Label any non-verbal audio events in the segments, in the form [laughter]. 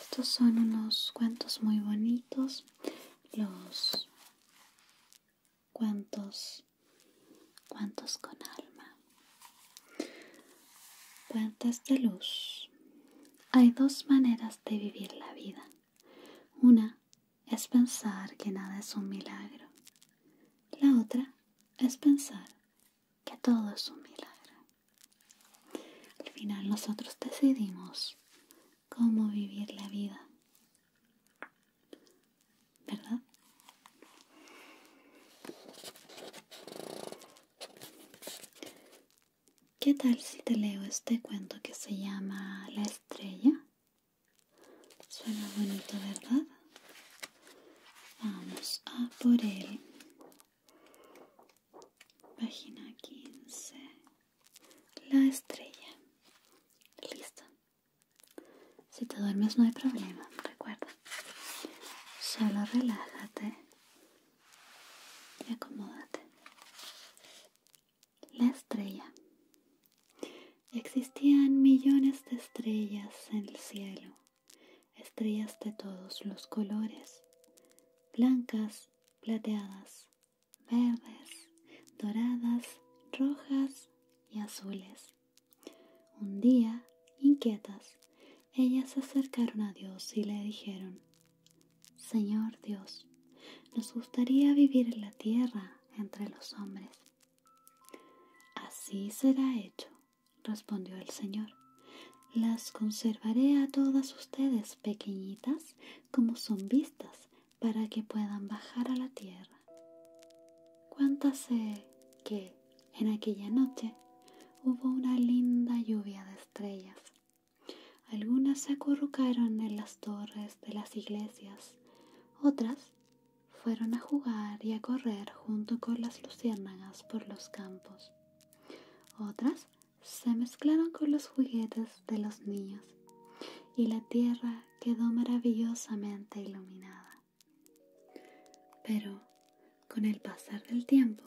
Estos son unos cuentos muy bonitos, los cuentos, con alma. Cuentos de luz. Hay dos maneras de vivir la vida. Una es pensar que nada es un milagro. La otra es pensar que todo es un milagro. Al final nosotros decidimos cómo vivir la vida. ¿Verdad? ¿Qué tal si te leo este cuento que se llama La estrella? Suena bonito, ¿verdad? Vamos a por él. Página 15. La estrella. Listo. Si te duermes no hay problema, recuerda. Solo relájate y acomódate. La estrella. Existían millones de estrellas en el cielo estrellas de todos los colores, blancas, plateadas, verdes, doradas, rojas y azules. Un día, inquietas, ellas se acercaron a Dios y le dijeron, Señor Dios, nos gustaría vivir en la tierra entre los hombres. Así será hecho, respondió el Señor. Las conservaré a todas ustedes pequeñitas como son vistas para que puedan bajar a la tierra. Cuéntase que en aquella noche hubo una linda lluvia de estrellas. Algunas se acurrucaron en las torres de las iglesias, otras fueron a jugar y a correr junto con las luciérnagas por los campos. Otras se mezclaron con los juguetes de los niños y la tierra quedó maravillosamente iluminada. Pero, con el pasar del tiempo,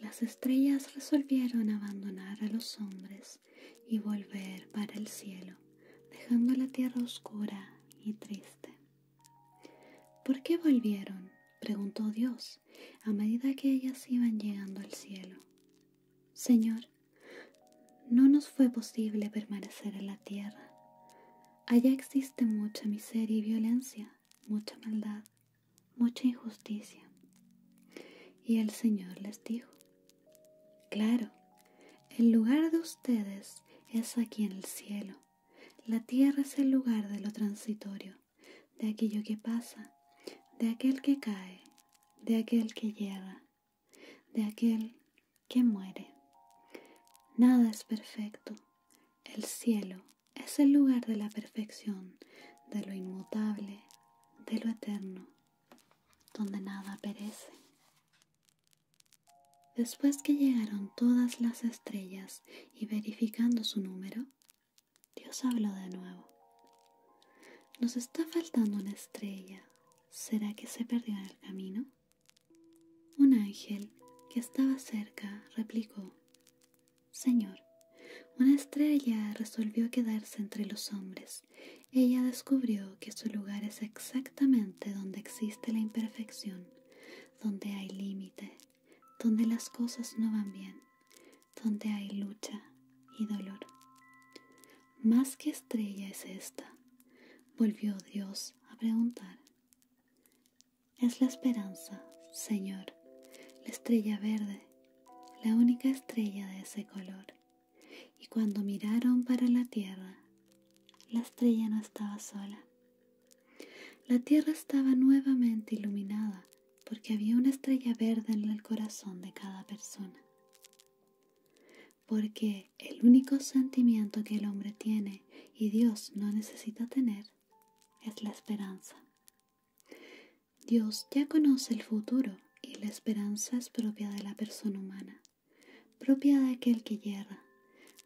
las estrellas resolvieron abandonar a los hombres y volver para el cielo, dejando la tierra oscura y triste. ¿Por qué volvieron? preguntó Dios a medida que ellas iban llegando al cielo. Señor, no nos fue posible permanecer en la tierra. Allá existe mucha miseria y violencia, mucha maldad, mucha injusticia. Y el Señor les dijo, claro, el lugar de ustedes es aquí en el cielo. La tierra es el lugar de lo transitorio, de aquello que pasa, de aquel que cae, de aquel que llega, de aquel que muere. Nada es perfecto. El cielo es el lugar de la perfección, de lo inmutable, de lo eterno, donde nada perece. Después que llegaron todas las estrellas y verificando su número, Dios habló de nuevo. Nos está faltando una estrella. ¿Será que se perdió en el camino? Un ángel que estaba cerca replicó, Señor, una estrella resolvió quedarse entre los hombres. Ella descubrió que su lugar es exactamente donde existe la imperfección, donde hay límite, donde las cosas no van bien, donde hay lucha y dolor. Más que estrella es esta, volvió Dios a preguntar. Es la esperanza, Señor, la estrella verde, la única estrella de ese color. Y cuando miraron para la tierra, la estrella no estaba sola. La tierra estaba nuevamente iluminada porque había una estrella verde en el corazón de cada persona. Porque el único sentimiento que el hombre tiene y Dios no necesita tener es la esperanza. Dios ya conoce el futuro y la esperanza es propia de la persona humana, propia de aquel que yerra,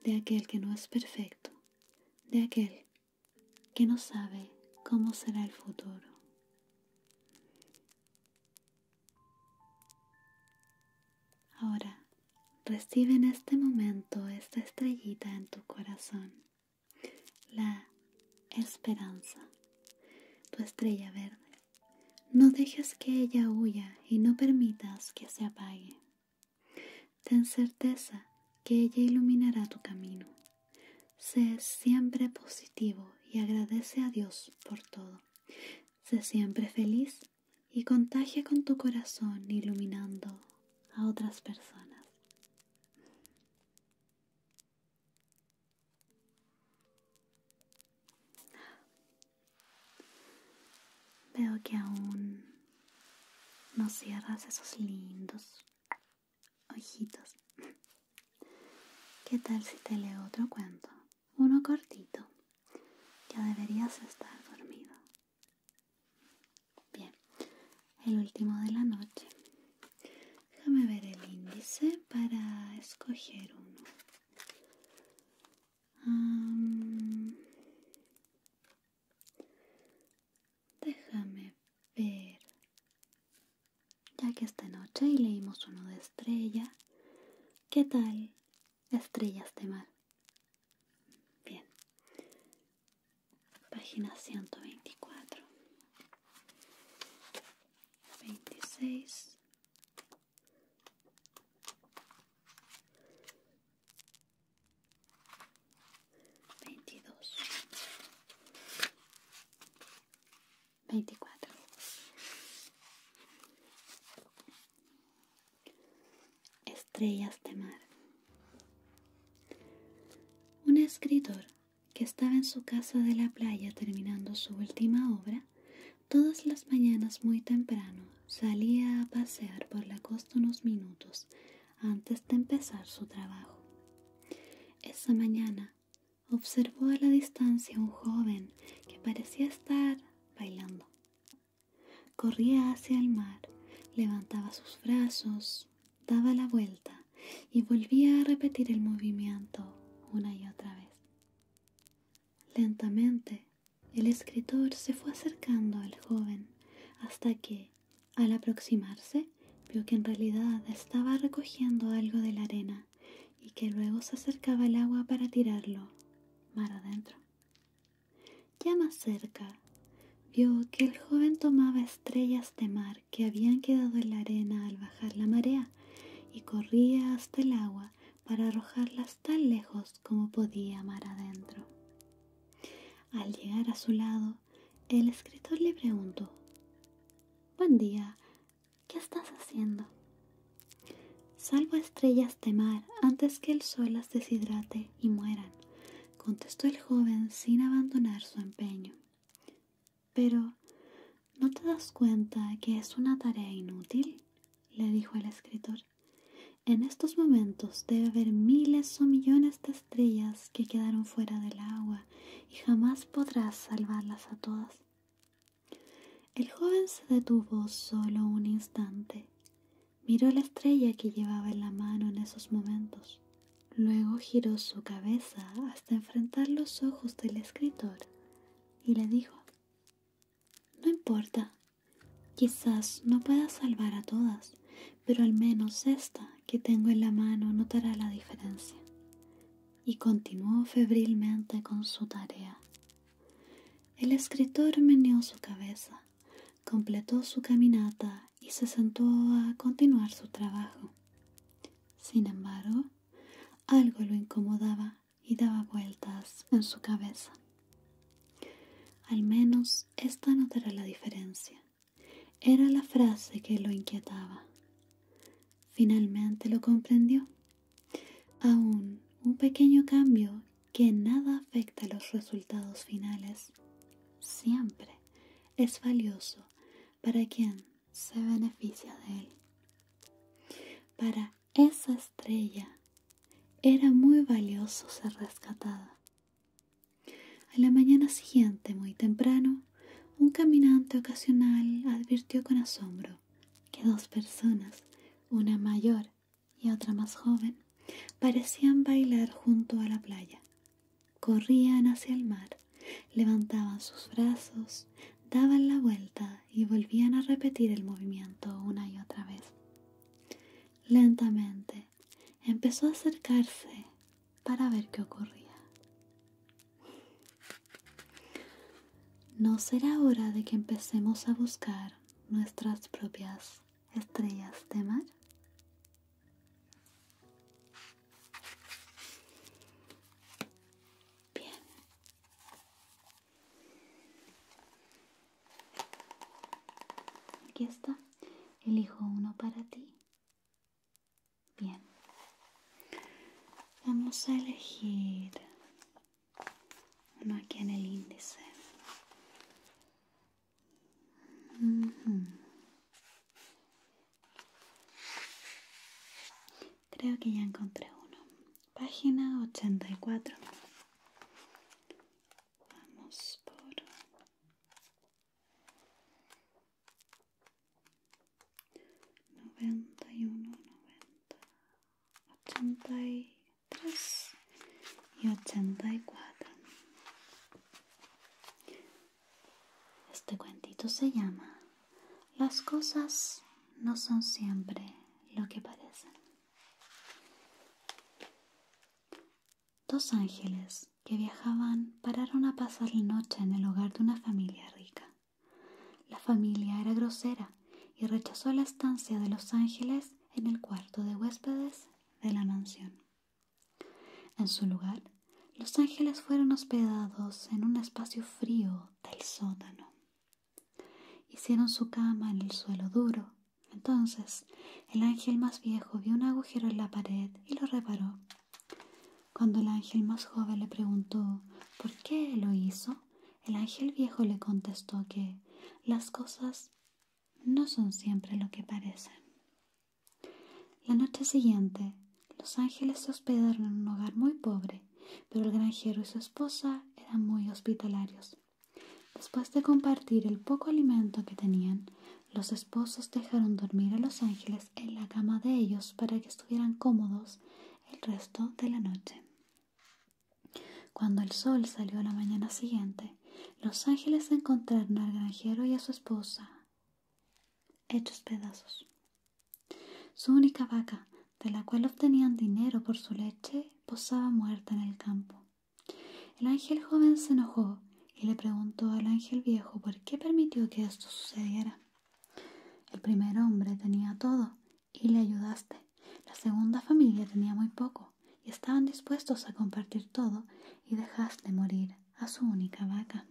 de aquel que no es perfecto, de aquel que no sabe cómo será el futuro. Ahora, recibe en este momento esta estrellita en tu corazón, la esperanza, tu estrella verde. No dejes que ella huya y no permitas que se apague. Ten certeza que ella iluminará tu camino Sé siempre positivo y agradece a Dios por todo. Sé siempre feliz y contagia con tu corazón iluminando a otras personas. Veo que aún no cierras esos lindos ojitos. ¿Qué tal si te leo otro cuento? Uno cortito. Ya deberías estar dormido. Bien, el último de la noche. Déjame ver el índice para escoger uno. Déjame ver. Ya que esta noche leímos uno de estrella, ¿qué tal estrellas de mar? Bien. Página 124. 26. 22 24 estrellas de mar. Un escritor que estaba en su casa de la playa terminando su última obra, todas las mañanas muy temprano salía a pasear por la costa unos minutos antes de empezar su trabajo. Esa mañana observó a la distancia un joven que parecía estar bailando. Corría hacia el mar, levantaba sus brazos, daba la vuelta y volvía a repetir el movimiento una y otra vez. Lentamente, el escritor se fue acercando al joven hasta que, al aproximarse, vio que en realidad estaba recogiendo algo de la arena y que luego se acercaba al agua para tirarlo mar adentro. Ya más cerca, vio que el joven tomaba estrellas de mar que habían quedado en la arena al bajar la marea y corría hasta el agua para arrojarlas tan lejos como podía mar adentro. Al llegar a su lado, el escritor le preguntó, Buen día, ¿qué estás haciendo? Salvo estrellas de mar antes que el sol las deshidrate y mueran, contestó el joven sin abandonar su empeño. Pero, ¿no te das cuenta que es una tarea inútil? le dijo el escritor. En estos momentos debe haber miles o millones de estrellas que quedaron fuera del agua y jamás podrás salvarlas a todas. El joven se detuvo solo un instante. Miró la estrella que llevaba en la mano en esos momentos. Luego giró su cabeza hasta enfrentar los ojos del escritor y le dijo, No importa, quizás no puedas salvar a todas, pero al menos esta que tengo en la mano notará la diferencia y continuó febrilmente con su tarea. El escritor meneó su cabeza, completó su caminata y se sentó a continuar su trabajo. Sin embargo, algo lo incomodaba y daba vueltas en su cabeza. Al menos esta notará la diferencia, era la frase que lo inquietaba. Finalmente lo comprendió. Aún un pequeño cambio que nada afecta a los resultados finales siempre es valioso para quien se beneficia de él. Para esa estrella era muy valioso ser rescatada. A la mañana siguiente, muy temprano, un caminante ocasional advirtió con asombro que dos personas, una mayor y otra más joven, parecían bailar junto a la playa. Corrían hacia el mar, levantaban sus brazos, daban la vuelta y volvían a repetir el movimiento una y otra vez. Lentamente empezó a acercarse para ver qué ocurría. ¿No será hora de que empecemos a buscar nuestras propias estrellas de mar? Bien. Aquí está. Elijo uno para ti Bien, vamos a elegir uno aquí en el índice. Creo que ya encontré uno. Página 84. Vamos por noventa y uno, noventa, ochenta y tres y ochenta y cuatro. Este cuentito se llama Las cosas no son siempre lo que parecen. Dos ángeles que viajaban pararon a pasar la noche en el hogar de una familia rica. La familia era grosera y rechazó la estancia de Los Ángeles en el cuarto de huéspedes de la mansión. En su lugar, Los Ángeles fueron hospedados en un espacio frío del sótano. Hicieron su cama en el suelo duro. Entonces, el ángel más viejo vio un agujero en la pared y lo reparó cuando el ángel más joven le preguntó por qué lo hizo, el ángel viejo le contestó que las cosas no son siempre lo que parecen. La noche siguiente, los ángeles se hospedaron en un hogar muy pobre, pero el granjero y su esposa eran muy hospitalarios. Después de compartir el poco alimento que tenían, los esposos dejaron dormir a los ángeles en la cama de ellos para que estuvieran cómodos el resto de la noche. Cuando el sol salió la mañana siguiente, los ángeles encontraron al granjero y a su esposa hechos pedazos. Su única vaca, de la cual obtenían dinero por su leche, posaba muerta en el campo. El ángel joven se enojó y le preguntó al ángel viejo por qué permitió que esto sucediera. El primer hombre tenía todo y le ayudaste. La segunda familia tenía muy poco y estaban dispuestos a compartir todo y dejaste morir a su única vaca.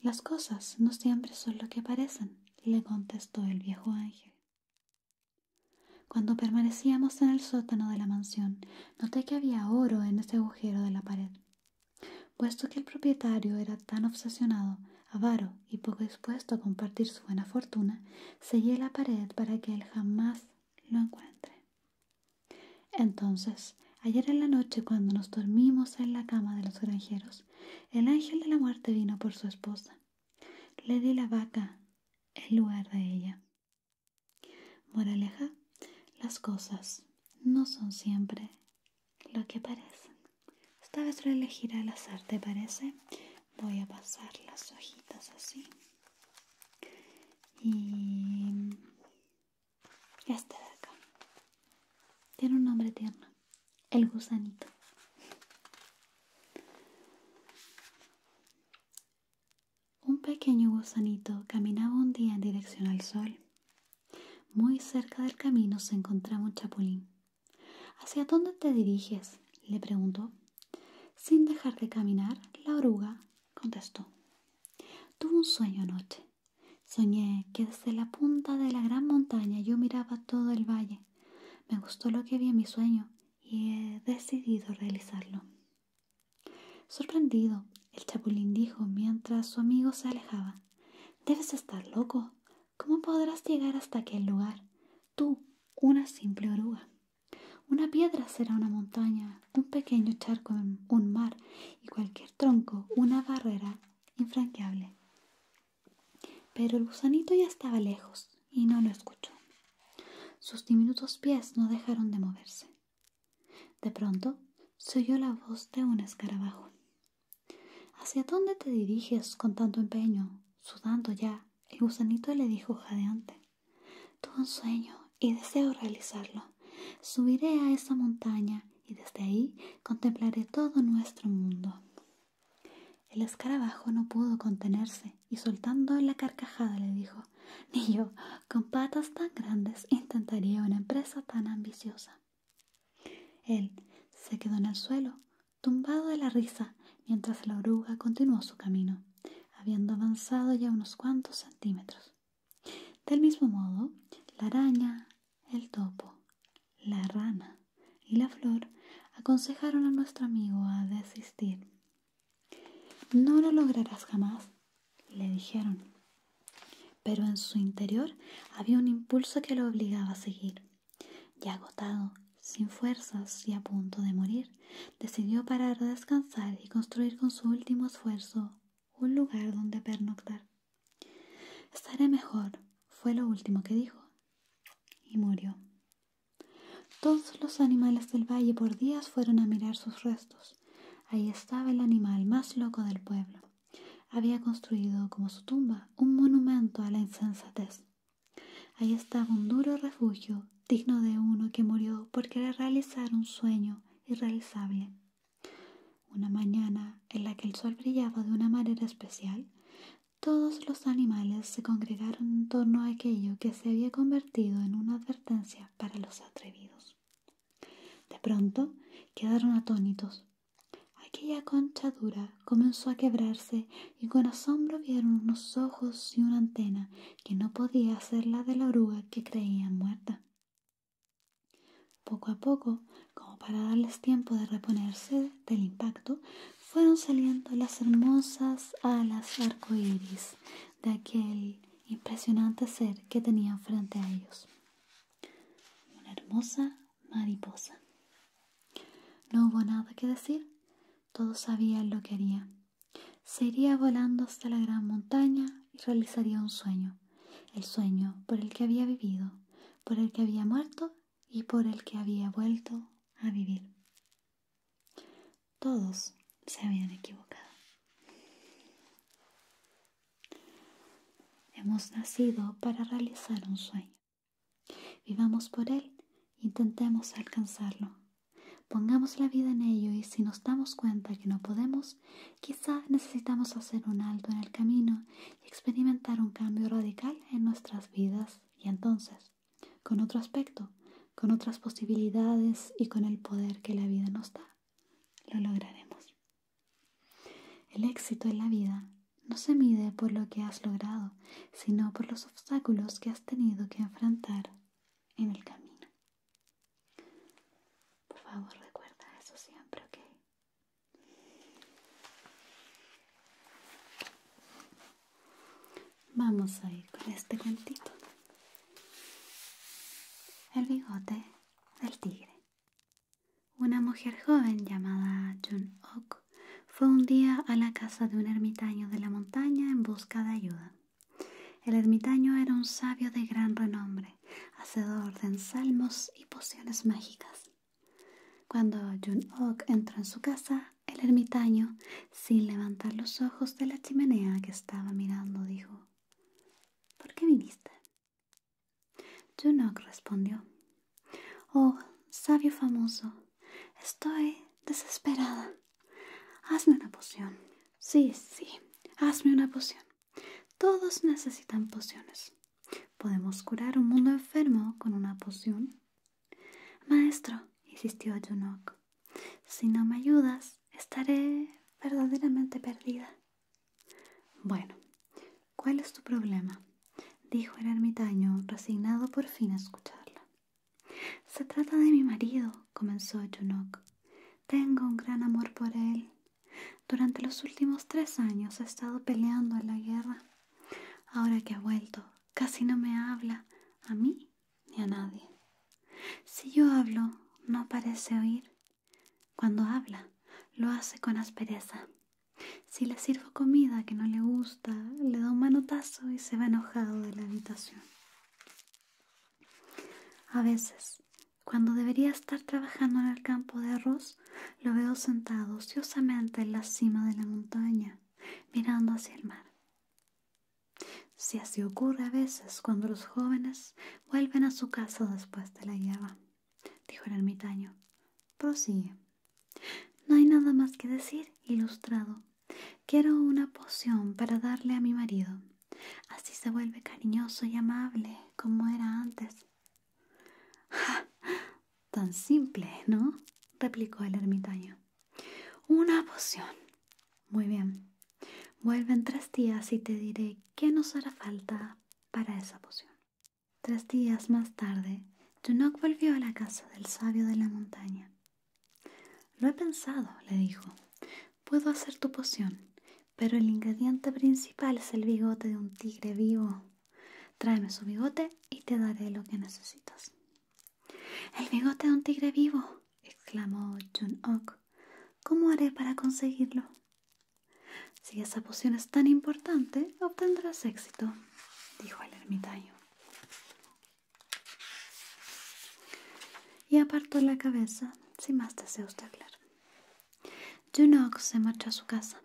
Las cosas no siempre son lo que parecen, le contestó el viejo ángel. Cuando permanecíamos en el sótano de la mansión, noté que había oro en ese agujero de la pared. Puesto que el propietario era tan obsesionado, avaro y poco dispuesto a compartir su buena fortuna, sellé la pared para que él jamás lo encuentre. Entonces, ayer en la noche cuando nos dormimos en la cama de los granjeros, el ángel de la muerte vino por su esposa. Le di la vaca en lugar de ella. Moraleja, las cosas no son siempre lo que parece Esta vez a elegir al azar, ¿te parece? Voy a pasar las hojitas así. Y este de acá. Tiene un nombre tierno. El gusanito. Un pequeño gusanito caminaba un día en dirección al sol muy cerca del camino se encontraba un chapulín. ¿Hacia dónde te diriges? le preguntó. Sin dejar de caminar, la oruga contestó. Tuve un sueño anoche. Soñé que desde la punta de la gran montaña yo miraba todo el valle. Me gustó lo que vi en mi sueño y he decidido realizarlo. Sorprendido, el chapulín dijo mientras su amigo se alejaba. Debes estar loco. ¿Cómo podrás llegar hasta aquel lugar? Tú, una simple oruga. Una piedra será una montaña, un pequeño charco un mar y cualquier tronco una barrera infranqueable. Pero el gusanito ya estaba lejos y no lo escuchó. Sus diminutos pies no dejaron de moverse. De pronto se oyó la voz de un escarabajo. ¿Hacia dónde te diriges con tanto empeño? Sudando ya, el gusanito le dijo jadeante. Tuve un sueño y deseo realizarlo. Subiré a esa montaña y desde ahí contemplaré todo nuestro mundo. El escarabajo no pudo contenerse y soltando la carcajada le dijo Ni yo, con patas tan grandes, intentaría una empresa tan ambiciosa. Él se quedó en el suelo, tumbado de la risa, mientras la oruga continuó su camino, habiendo avanzado ya unos cuantos centímetros. Del mismo modo, la araña, el topo, la rana y la flor aconsejaron a nuestro amigo a desistir. No lo lograrás jamás, le dijeron. Pero en su interior había un impulso que lo obligaba a seguir. y agotado, sin fuerzas y a punto de morir, decidió parar a descansar y construir con su último esfuerzo un lugar donde pernoctar. Estaré mejor, fue lo último que dijo, y murió. Todos los animales del valle por días fueron a mirar sus restos. Ahí estaba el animal más loco del pueblo había construido como su tumba un monumento a la insensatez. Ahí estaba un duro refugio digno de uno que murió por querer realizar un sueño irrealizable. Una mañana en la que el sol brillaba de una manera especial, todos los animales se congregaron en torno a aquello que se había convertido en una advertencia para los atrevidos. De pronto quedaron atónitos Aquella conchadura comenzó a quebrarse y con asombro vieron unos ojos y una antena que no podía ser la de la oruga que creían muerta. Poco a poco, como para darles tiempo de reponerse del impacto, fueron saliendo las hermosas alas arcoíris de aquel impresionante ser que tenían frente a ellos una hermosa mariposa. No hubo nada que decir, todos sabían lo que haría. Se iría volando hasta la gran montaña y realizaría un sueño, el sueño por el que había vivido, por el que había muerto y por el que había vuelto a vivir. Todos se habían equivocado. Hemos nacido para realizar un sueño. Vivamos por él, intentemos alcanzarlo. Pongamos la vida en ello y si nos damos cuenta que no podemos, quizá necesitamos hacer un alto en el camino y experimentar un cambio radical en nuestras vidas y entonces, con otro aspecto, con otras posibilidades y con el poder que la vida nos da, lo lograremos. El éxito en la vida no se mide por lo que has logrado, sino por los obstáculos que has tenido que enfrentar en el camino. Por favor, recuerda eso siempre, ¿ok? Vamos a ir con este cuentito. El bigote del tigre. Una mujer joven llamada Jun Ok fue un día a la casa de un ermitaño de la montaña en busca de ayuda. El ermitaño era un sabio de gran renombre, hacedor de ensalmos y pociones mágicas. Cuando Jun Ok entró en su casa, el ermitaño, sin levantar los ojos de la chimenea que estaba mirando, dijo: ¿Por qué viniste? Junok respondió, Oh, sabio famoso, estoy desesperada. Hazme una poción. Sí, sí, hazme una poción. Todos necesitan pociones. ¿Podemos curar un mundo enfermo con una poción? Maestro, insistió Junok, si no me ayudas, estaré verdaderamente perdida. Bueno, ¿cuál es tu problema? dijo el ermitaño, resignado por fin a escucharla. Se trata de mi marido, comenzó Junok. Tengo un gran amor por él. Durante los últimos tres años ha estado peleando en la guerra. Ahora que ha vuelto, casi no me habla, a mí ni a nadie. Si yo hablo, no parece oír. Cuando habla, lo hace con aspereza. Si le sirvo comida que no le gusta, le da un manotazo y se va enojado de la habitación. A veces, cuando debería estar trabajando en el campo de arroz, lo veo sentado ociosamente en la cima de la montaña, mirando hacia el mar. Si así ocurre a veces cuando los jóvenes vuelven a su casa después de la guerra dijo el ermitaño. Prosigue. No hay nada más que decir, ilustrado. Quiero una poción para darle a mi marido. Así se vuelve cariñoso y amable como era antes. Tan simple, ¿no? replicó el ermitaño. Una poción. Muy bien. Vuelve en tres días y te diré qué nos hará falta para esa poción. Tres días más tarde, Junok volvió a la casa del sabio de la montaña. Lo he pensado, le dijo. Puedo hacer tu poción, pero el ingrediente principal es el bigote de un tigre vivo. Tráeme su bigote y te daré lo que necesitas. El bigote de un tigre vivo, exclamó Junok. cómo haré para conseguirlo? Si esa poción es tan importante, obtendrás éxito, dijo el ermitaño. Y apartó la cabeza sin más deseos de hablar. Junox se marchó a su casa.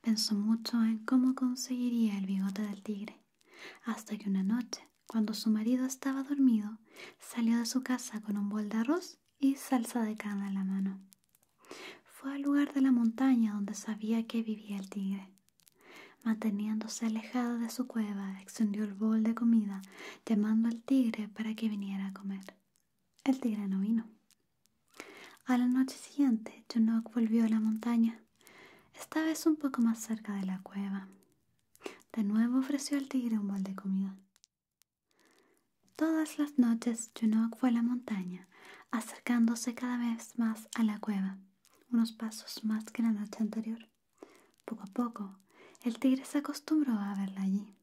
Pensó mucho en cómo conseguiría el bigote del tigre, hasta que una noche, cuando su marido estaba dormido, salió de su casa con un bol de arroz y salsa de cana en la mano. Fue al lugar de la montaña donde sabía que vivía el tigre. Manteniéndose alejado de su cueva, extendió el bol de comida, llamando al tigre para que viniera a comer. El tigre no vino. A la noche siguiente, Junok volvió a la montaña, esta vez un poco más cerca de la cueva. De nuevo ofreció al tigre un bol de comida. Todas las noches Junok fue a la montaña, acercándose cada vez más a la cueva, unos pasos más que la noche anterior. Poco a poco, el tigre se acostumbró a verla allí.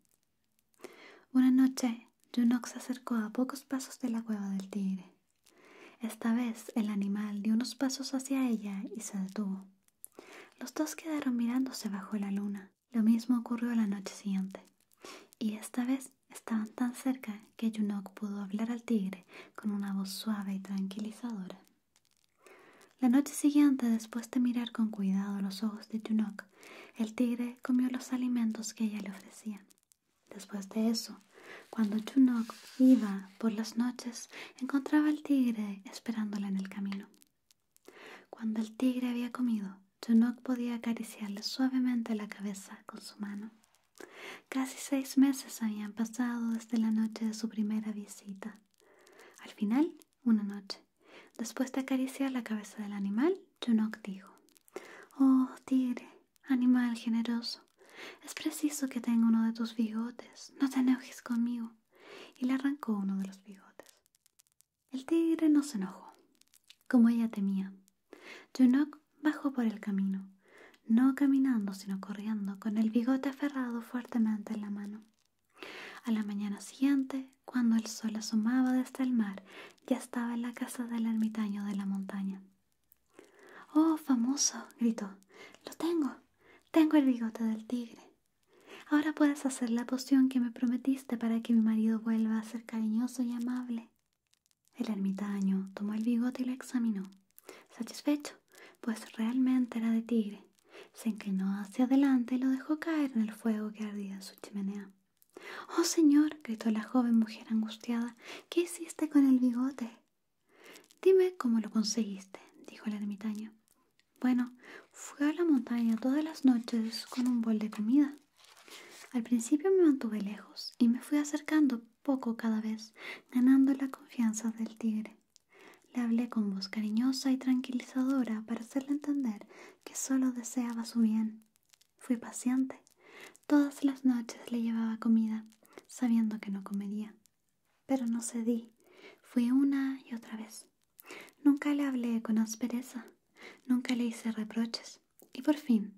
Una noche, Junok se acercó a pocos pasos de la cueva del tigre. Esta vez el animal dio unos pasos hacia ella y se detuvo. Los dos quedaron mirándose bajo la luna. Lo mismo ocurrió la noche siguiente. Y esta vez estaban tan cerca que Yunok pudo hablar al tigre con una voz suave y tranquilizadora. La noche siguiente, después de mirar con cuidado los ojos de Yunok, el tigre comió los alimentos que ella le ofrecía. Después de eso, cuando Yunok iba por las noches, encontraba al tigre esperándola en el camino. Cuando el tigre había comido, Junok podía acariciarle suavemente la cabeza con su mano. Casi seis meses habían pasado desde la noche de su primera visita. Al final, una noche, después de acariciar la cabeza del animal, Junok dijo: Oh, tigre, animal generoso, es preciso que tenga uno de tus bigotes. No te enojes conmigo. Y le arrancó uno de los bigotes. El tigre no se enojó, como ella temía. Junok bajó por el camino, no caminando sino corriendo, con el bigote aferrado fuertemente en la mano. A la mañana siguiente, cuando el sol asomaba desde el mar, ya estaba en la casa del ermitaño de la montaña. ¡Oh, famoso! gritó. ¡Lo tengo! Tengo el bigote del tigre. Ahora puedes hacer la poción que me prometiste para que mi marido vuelva a ser cariñoso y amable. El ermitaño tomó el bigote y lo examinó. Satisfecho, pues realmente era de tigre. Se inclinó hacia adelante y lo dejó caer en el fuego que ardía en su chimenea. Oh señor, gritó la joven mujer angustiada, ¿qué hiciste con el bigote? Dime cómo lo conseguiste, dijo el ermitaño. Bueno, fui a la montaña todas las noches con un bol de comida. Al principio me mantuve lejos y me fui acercando poco cada vez, ganando la confianza del tigre. Le hablé con voz cariñosa y tranquilizadora para hacerle entender que solo deseaba su bien. Fui paciente. Todas las noches le llevaba comida, sabiendo que no comería. Pero no cedí. Fui una y otra vez. Nunca le hablé con aspereza. Nunca le hice reproches. Y por fin,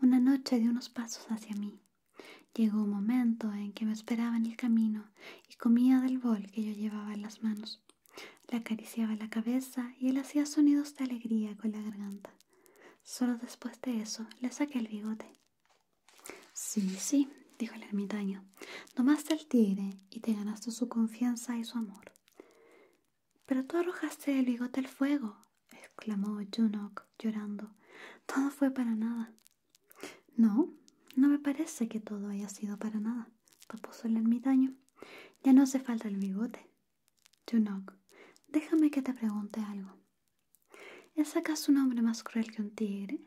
una noche de unos pasos hacia mí. Llegó un momento en que me esperaba en el camino y comía del bol que yo llevaba en las manos. Le acariciaba la cabeza y él hacía sonidos de alegría con la garganta. Solo después de eso le saqué el bigote. Sí, sí, dijo el ermitaño, tomaste el tigre y te ganaste su confianza y su amor. Pero tú arrojaste el bigote al fuego, exclamó Junok llorando. Todo fue para nada. No, no me parece que todo haya sido para nada, repuso el ermitaño. Ya no hace falta el bigote. Junok, déjame que te pregunte algo. ¿Es acaso un hombre más cruel que un tigre?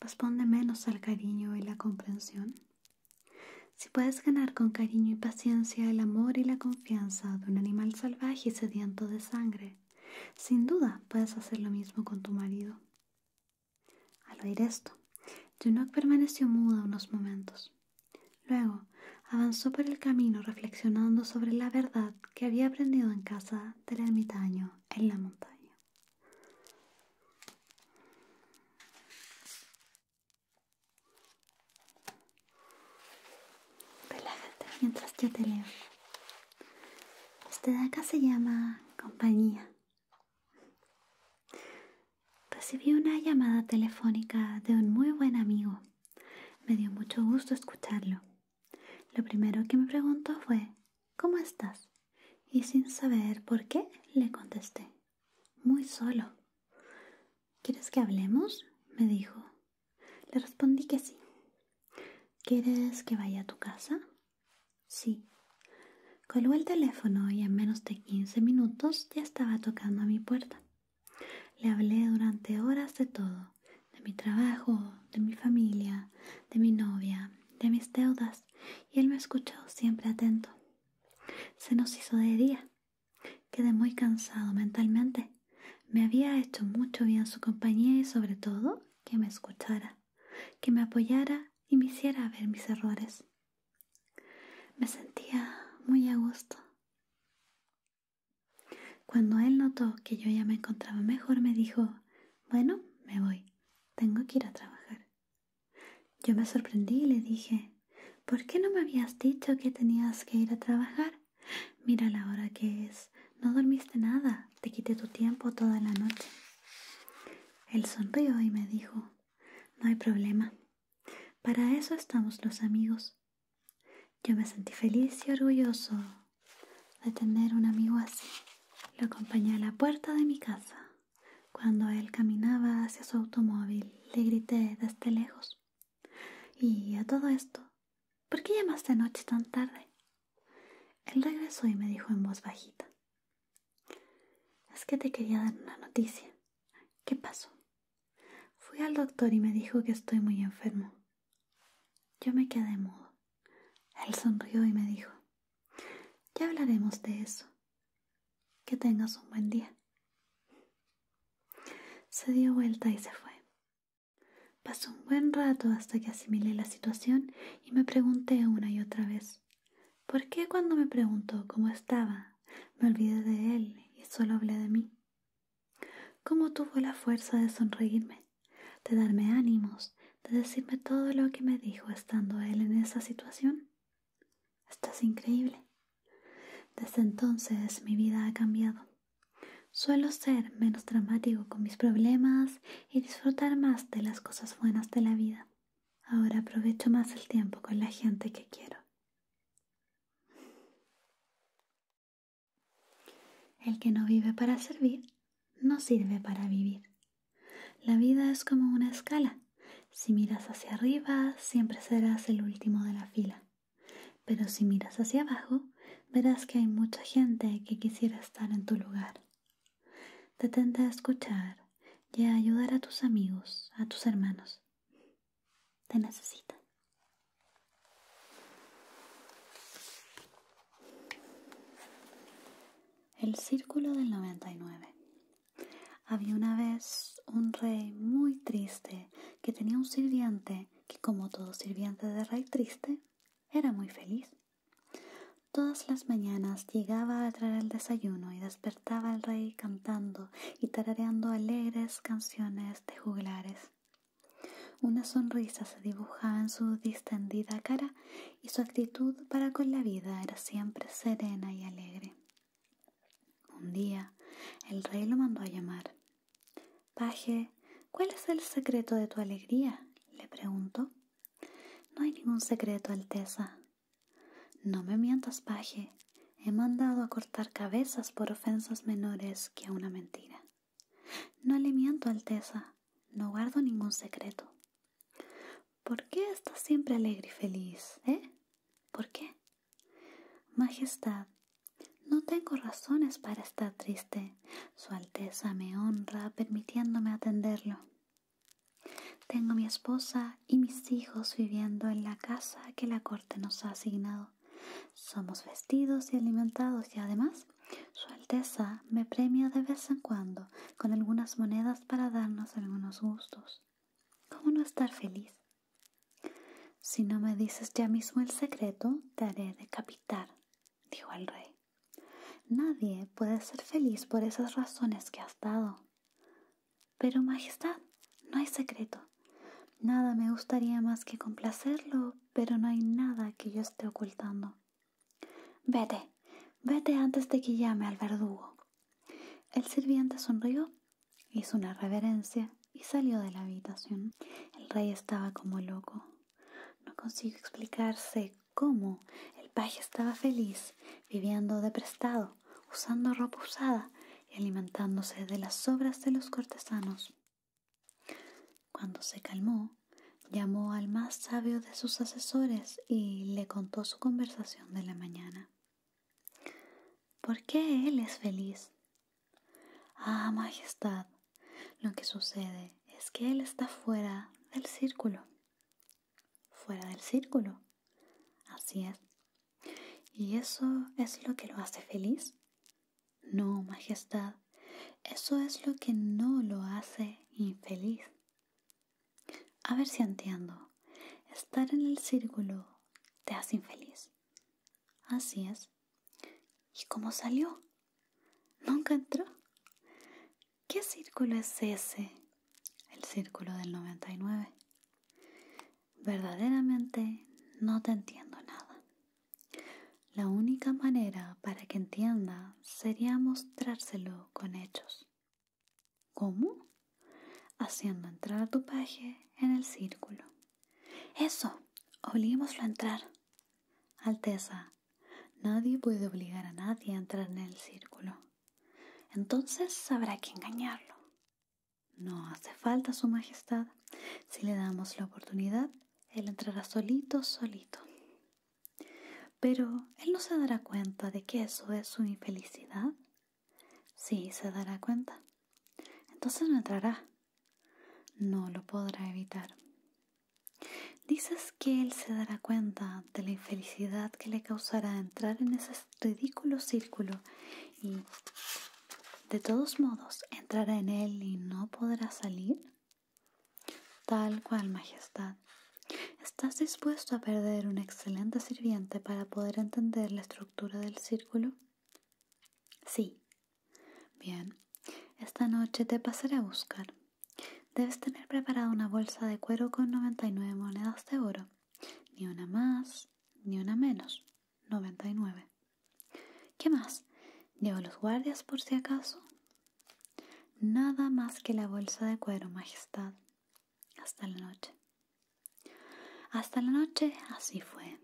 Responde menos al cariño y la comprensión. Si puedes ganar con cariño y paciencia el amor y la de un animal salvaje y sediento de sangre. Sin duda puedes hacer lo mismo con tu marido. Al oír esto, Junok permaneció muda unos momentos. Luego avanzó por el camino reflexionando sobre la verdad que había aprendido en casa del ermitaño en la montaña. Relájate mientras yo te leo. Este de acá se llama compañía. Recibí una llamada telefónica de un muy buen amigo. Me dio mucho gusto escucharlo. Lo primero que me preguntó fue, ¿cómo estás? Y sin saber por qué, le contesté, muy solo. ¿Quieres que hablemos? me dijo. Le respondí que sí. ¿Quieres que vaya a tu casa? Sí. Coló el teléfono y en menos de quince minutos ya estaba tocando a mi puerta. Le hablé durante horas de todo, de mi trabajo, de mi familia, de mi novia, de mis deudas, y él me escuchó siempre atento. Se nos hizo de día Quedé muy cansado mentalmente. Me había hecho mucho bien su compañía y sobre todo que me escuchara, que me apoyara y me hiciera ver mis errores. Me sentía muy a gusto. Cuando él notó que yo ya me encontraba mejor, me dijo, bueno, me voy, tengo que ir a trabajar. Yo me sorprendí y le dije, ¿Por qué no me habías dicho que tenías que ir a trabajar? Mira la hora que es. No dormiste nada. Te quité tu tiempo toda la noche. Él sonrió y me dijo, no hay problema. Para eso estamos los amigos. Yo me sentí feliz y orgulloso de tener un amigo así. Lo acompañé a la puerta de mi casa. Cuando él caminaba hacia su automóvil, le grité desde lejos, y a todo esto, ¿por qué llamaste anoche tan tarde? Él regresó y me dijo en voz bajita. Es que te quería dar una noticia. ¿Qué pasó? Fui al doctor y me dijo que estoy muy enfermo. Yo me quedé mudo. Él sonrió y me dijo, ya hablaremos de eso. Que tengas un buen día. Se dio vuelta y se fue. Pasó un buen rato hasta que asimilé la situación y me pregunté una y otra vez, ¿por qué cuando me preguntó cómo estaba, me olvidé de él y solo hablé de mí? ¿Cómo tuvo la fuerza de sonreírme, de darme ánimos, de decirme todo lo que me dijo estando él en esa situación? Estás increíble, desde entonces mi vida ha cambiado. Suelo ser menos dramático con mis problemas y disfrutar más de las cosas buenas de la vida. Ahora aprovecho más el tiempo con la gente que quiero. El que no vive para servir, no sirve para vivir. La vida es como una escala. Si miras hacia arriba, siempre serás el último de la fila. Pero si miras hacia abajo, verás que hay mucha gente que quisiera estar en tu lugar. Detente a escuchar y a ayudar a tus amigos, a tus hermanos. Te necesitan. El Círculo del 99. Había una vez un rey muy triste que tenía un sirviente, que, como todo sirviente de rey triste, era muy feliz. Todas las mañanas llegaba a traer el desayuno y despertaba al rey cantando y tarareando alegres canciones de juglares. Una sonrisa se dibujaba en su distendida cara y su actitud para con la vida era siempre serena y alegre. Un día, el rey lo mandó a llamar Paje, ¿cuál es el secreto de tu alegría? le pregunto. No hay ningún secreto, Alteza. No me mientas, Paje. He mandado a cortar cabezas por ofensas menores que una mentira. No le miento, Alteza. No guardo ningún secreto. ¿Por qué estás siempre alegre y feliz, eh? ¿Por qué? Majestad, no tengo razones para estar triste. Su Alteza me honra permitiéndome atenderlo. Tengo mi esposa y mis hijos viviendo en la casa que la corte nos ha asignado. Somos vestidos y alimentados y además Su Alteza me premia de vez en cuando con algunas monedas para darnos algunos gustos. ¿Cómo no estar feliz? Si no me dices ya mismo el secreto, te haré decapitar, dijo el rey. Nadie puede ser feliz por esas razones que has dado. Pero, Majestad, no hay secreto. Nada me gustaría más que complacerlo, pero no hay nada que yo esté ocultando. Vete, vete antes de que llame al verdugo. El sirviente sonrió Hizo una reverencia y salió de la habitación. El rey estaba como loco. No consiguió explicarse cómo el paje estaba feliz, viviendo de prestado, usando ropa usada y alimentándose de las sobras de los cortesanos. Cuando se calmó, llamó al más sabio de sus asesores y le contó su conversación de la mañana. ¿Por qué él es feliz? Ah, Majestad, lo que sucede es que él está fuera del círculo. Fuera del círculo. Así es. ¿Y eso es lo que lo hace feliz? No, Majestad, eso es lo que no lo hace infeliz. A ver si entiendo. Estar en el círculo te hace infeliz. Así es. ¿Y cómo salió? ¿Nunca entró? ¿Qué círculo es ese? El círculo del 99. Verdaderamente no te entiendo nada. La única manera para que entienda sería mostrárselo con hechos. ¿Cómo? Haciendo entrar a tu paje en el círculo. Eso, obliguémoslo a entrar. Alteza, nadie puede obligar a nadie a entrar en el círculo. Entonces habrá que engañarlo. No hace falta su majestad. Si le damos la oportunidad, él entrará solito, solito. Pero él no se dará cuenta de que eso es su infelicidad. Sí, se dará cuenta entonces no entrará. No lo podrá evitar. Dices que él se dará cuenta de la infelicidad que le causará entrar en ese ridículo círculo y, de todos modos, entrará en él y no podrá salir. Tal cual, Majestad. ¿Estás dispuesto a perder un excelente sirviente para poder entender la estructura del círculo? Sí. Bien. Esta noche te pasaré a buscar. Debes tener preparada una bolsa de cuero con 99 monedas de oro. Ni una más, ni una menos. 99. ¿Qué más? ¿Llevo los guardias por si acaso? Nada más que la bolsa de cuero, Majestad. Hasta la noche. Hasta la noche así fue.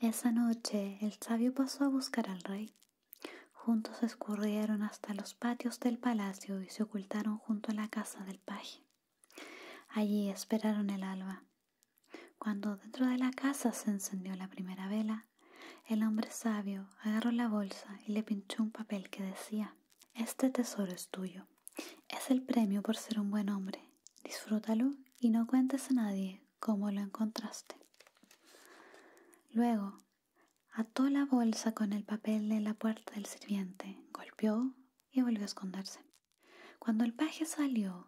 Esa noche el sabio pasó a buscar al rey. Juntos escurrieron hasta los patios del palacio y se ocultaron junto a la casa del paje. Allí esperaron el alba. Cuando dentro de la casa se encendió la primera vela, el hombre sabio agarró la bolsa y le pinchó un papel que decía, Este tesoro es tuyo. Es el premio por ser un buen hombre disfrútalo y no cuentes a nadie cómo lo encontraste. Luego, ató la bolsa con el papel de la puerta del sirviente, golpeó y volvió a esconderse. Cuando el paje salió,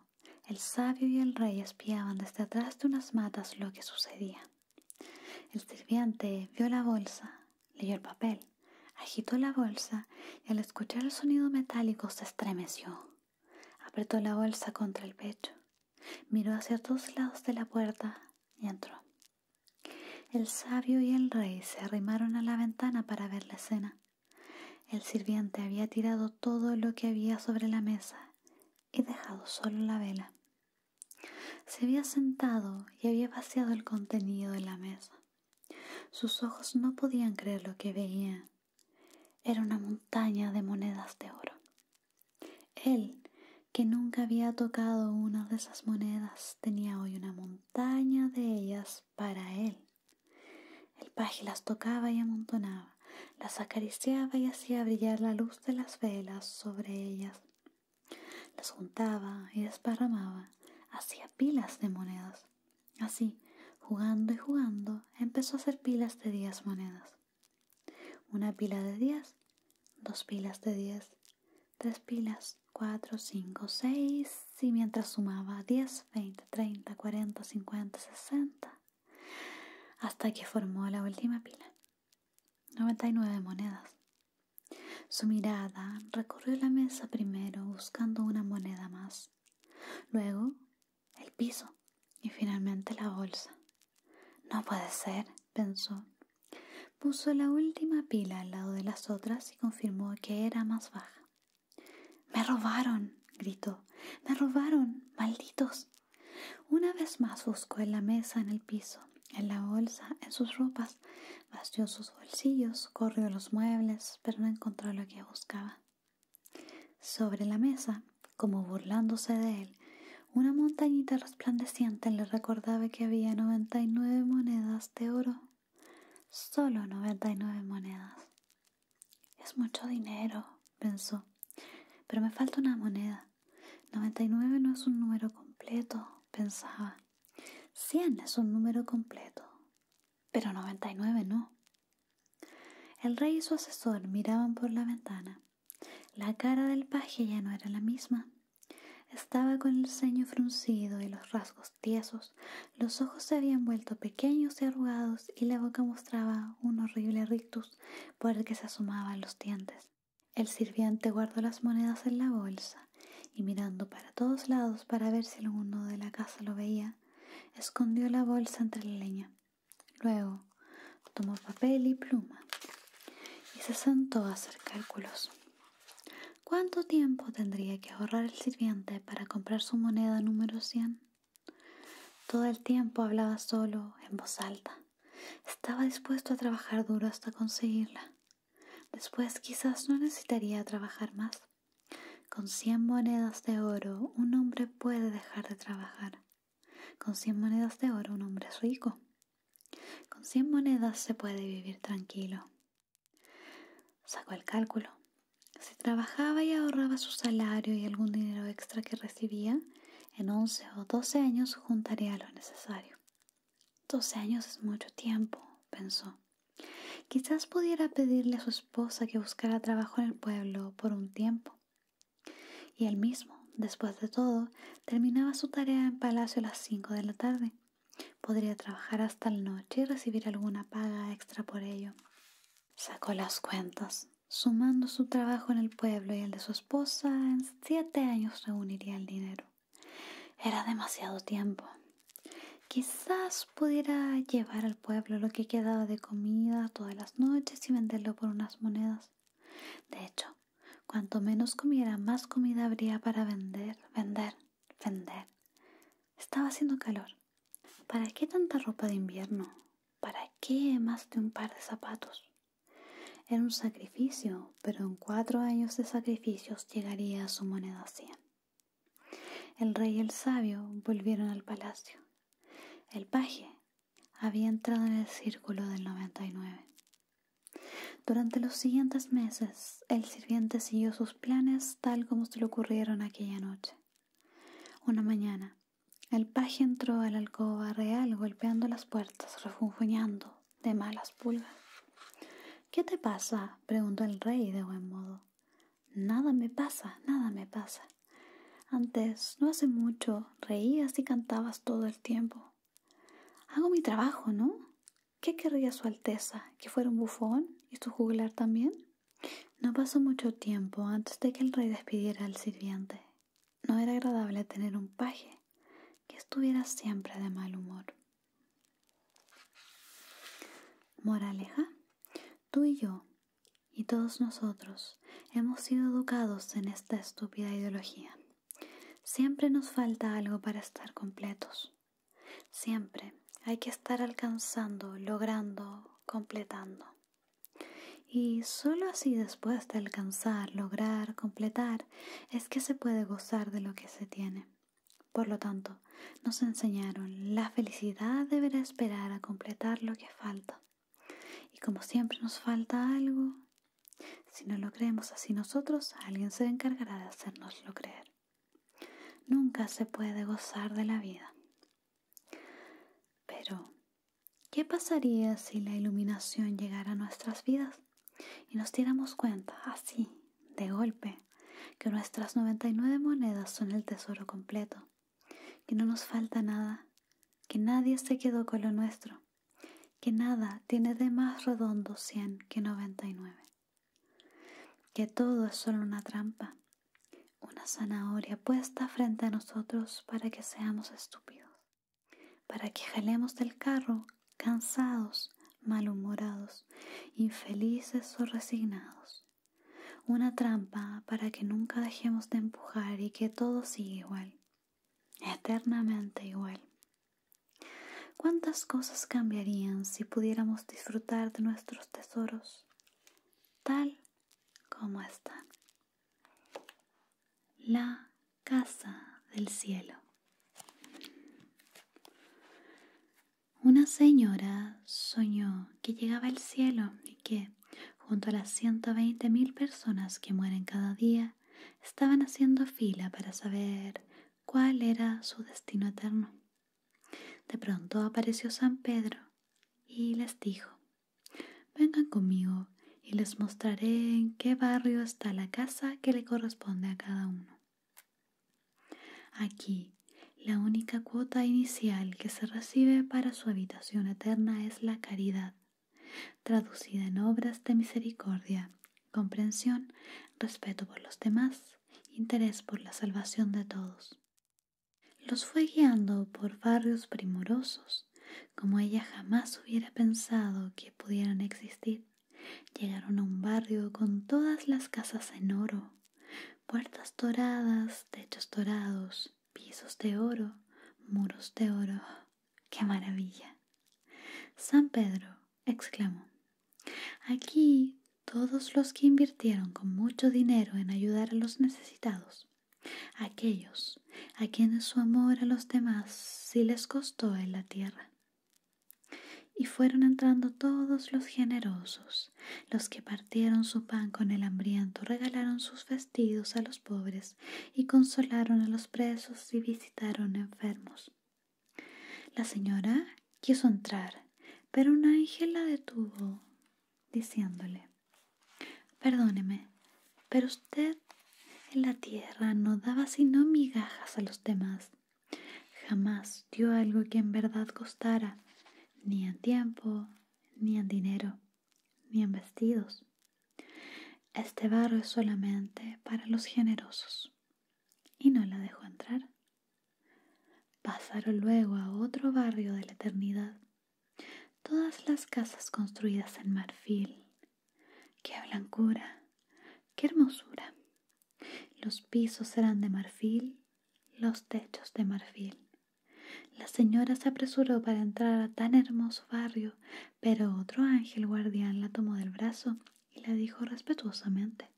el sabio y el rey espiaban desde atrás de unas matas lo que sucedía. El sirviente vio la bolsa, leyó el papel, agitó la bolsa y al escuchar el sonido metálico se estremeció. Apretó la bolsa contra el pecho, miró hacia todos lados de la puerta y entró. El sabio y el rey se arrimaron a la ventana para ver la escena. El sirviente había tirado todo lo que había sobre la mesa y dejado solo la vela. Se había sentado y había vaciado el contenido de la mesa. Sus ojos no podían creer lo que veían era una montaña de monedas de oro. Él, que nunca había tocado una de esas monedas, tenía hoy una montaña de ellas para él. El paje las tocaba y amontonaba, las acariciaba y hacía brillar la luz de las velas sobre ellas. Las juntaba y desparramaba, hacía pilas de monedas. Así, jugando y jugando, empezó a hacer pilas de 10 monedas. Una pila de 10, dos pilas de 10, tres pilas, 4, 5, 6, y mientras sumaba 10, 20, 30, 40, 50, 60, hasta que formó la última pila. 99 monedas. Su mirada recorrió la mesa primero buscando una moneda más. Luego el piso y finalmente la bolsa. No puede ser, pensó. Puso la última pila al lado de las otras y confirmó que era más baja. Me robaron, gritó. Me robaron, malditos. Una vez más buscó en la mesa, en el piso, en la bolsa, en sus ropas, vació sus bolsillos, corrió los muebles, pero no encontró lo que buscaba. Sobre la mesa, como burlándose de él, una montañita resplandeciente le recordaba que había noventa y nueve monedas de oro. Solo nueve monedas. Es mucho dinero, pensó. Pero me falta una moneda. Noventa y nueve no es un número completo, pensaba. Cien es un número completo. Pero noventa y nueve no. El rey y su asesor miraban por la ventana. La cara del paje ya no era la misma. Estaba con el ceño fruncido y los rasgos tiesos, los ojos se habían vuelto pequeños y arrugados y la boca mostraba un horrible rictus por el que se asomaban los dientes. El sirviente guardó las monedas en la bolsa y mirando para todos lados para ver si alguno de la casa lo veía, escondió la bolsa entre la leña. Luego tomó papel y pluma y se sentó a hacer cálculos. ¿Cuánto tiempo tendría que ahorrar el sirviente para comprar su moneda número cien? Todo el tiempo hablaba solo, en voz alta. Estaba dispuesto a trabajar duro hasta conseguirla. Después quizás no necesitaría trabajar más. Con cien monedas de oro un hombre puede dejar de trabajar. Con cien monedas de oro un hombre es rico. Con cien monedas se puede vivir tranquilo. Sacó el cálculo. Si trabajaba y ahorraba su salario y algún dinero extra que recibía, en once o doce años juntaría lo necesario. Doce años es mucho tiempo, pensó. Quizás pudiera pedirle a su esposa que buscara trabajo en el pueblo por un tiempo y él mismo, después de todo, terminaba su tarea en palacio a las 5 de la tarde. Podría trabajar hasta la noche y recibir alguna paga extra por ello. Sacó las cuentas. Sumando su trabajo en el pueblo y el de su esposa, en siete años reuniría el dinero. Era demasiado tiempo. Quizás pudiera llevar pueblo lo que quedaba de comida todas las noches y venderlo por unas monedas. De hecho, cuanto menos comiera, más comida habría para vender, vender, vender. Estaba haciendo calor. ¿Para qué tanta ropa de invierno? ¿Para qué más de un par de zapatos? Era un sacrificio, pero en cuatro años de sacrificios llegaría a su moneda 100. El rey y el sabio volvieron al palacio. El paje había entrado en el círculo del 99. Durante los siguientes meses, el sirviente siguió sus planes tal como se le ocurrieron aquella noche. Una mañana, el paje entró a la alcoba real golpeando las puertas, refunfuñando de malas pulgas. ¿Qué te pasa? preguntó el rey de buen modo. Nada me pasa, nada me pasa. Antes, no hace mucho, reías y cantabas todo el tiempo. Hago mi trabajo, ¿no? ¿Qué querría Su Alteza? ¿Que fuera un bufón y su juglar también? No pasó mucho tiempo antes de que el rey despidiera al sirviente. No era agradable tener un paje que estuviera siempre de mal humor. Moraleja, tú y yo, y todos nosotros hemos sido educados en esta estúpida ideología. Siempre nos falta algo para estar completos. Siempre hay que estar alcanzando, logrando, completando. Y solo así después de alcanzar, lograr, completar, es que se puede gozar de lo que se tiene. Por lo tanto, nos enseñaron la felicidad deberá esperar a completar lo que falta. Y como siempre nos falta algo, si no lo creemos así nosotros, alguien se encargará de hacernoslo creer. Nunca se puede gozar de la vida. Pero, ¿qué pasaría si la iluminación llegara a nuestras vidas y nos diéramos cuenta, así, de golpe, que nuestras 99 monedas son el tesoro completo que no nos falta nada, que nadie se quedó con lo nuestro, que nada tiene de más redondo cien que noventa y nueve. que todo es solo una trampa, una zanahoria puesta frente a nosotros para que seamos estúpidos, para que jalemos del carro cansados, malhumorados, infelices o resignados, una trampa para que nunca dejemos de empujar y que todo siga igual, eternamente igual. ¿Cuántas cosas cambiarían si pudiéramos disfrutar de nuestros tesoros tal como están? La casa del cielo. Una señora soñó que llegaba el cielo y que junto a las 120.000 personas que mueren cada día, estaban haciendo fila para saber cuál era su destino eterno. De pronto apareció San Pedro y les dijo, vengan conmigo y les mostraré en qué barrio está la casa que le corresponde a cada uno. Aquí, la única cuota inicial que se recibe para su habitación eterna es la caridad, traducida en obras de misericordia, comprensión, respeto por los demás, interés por la salvación de todos. Los fue guiando por barrios primorosos, como ella jamás hubiera pensado que pudieran existir. Llegaron a un barrio con todas las casas en oro, puertas doradas, techos dorados, pisos de oro, muros de oro. ¡Qué maravilla! San Pedro exclamó, aquí todos los que invirtieron con mucho dinero en ayudar a los necesitados, aquellos a quienes su amor a los demás sí les costó en la tierra. Y fueron entrando todos los generosos, los que partieron su pan con el hambriento, regalaron sus a los pobres y consolaron a los presos y visitaron enfermos. La señora quiso entrar, pero un ángel la detuvo, diciéndole Perdóneme, pero usted en la tierra no daba sino migajas a los demás. Jamás dio algo que en verdad costara, ni en tiempo, ni en dinero ni en vestidos. Este barrio es solamente para los generosos. Y no la dejo entrar. Pasaron luego a otro barrio de la eternidad. Todas las casas construidas en marfil. ¡Qué blancura! ¡Qué hermosura! Los pisos eran de marfil, los techos de marfil. La señora se apresuró para entrar a tan hermoso barrio, pero otro ángel guardián la tomó del brazo y le dijo respetuosamente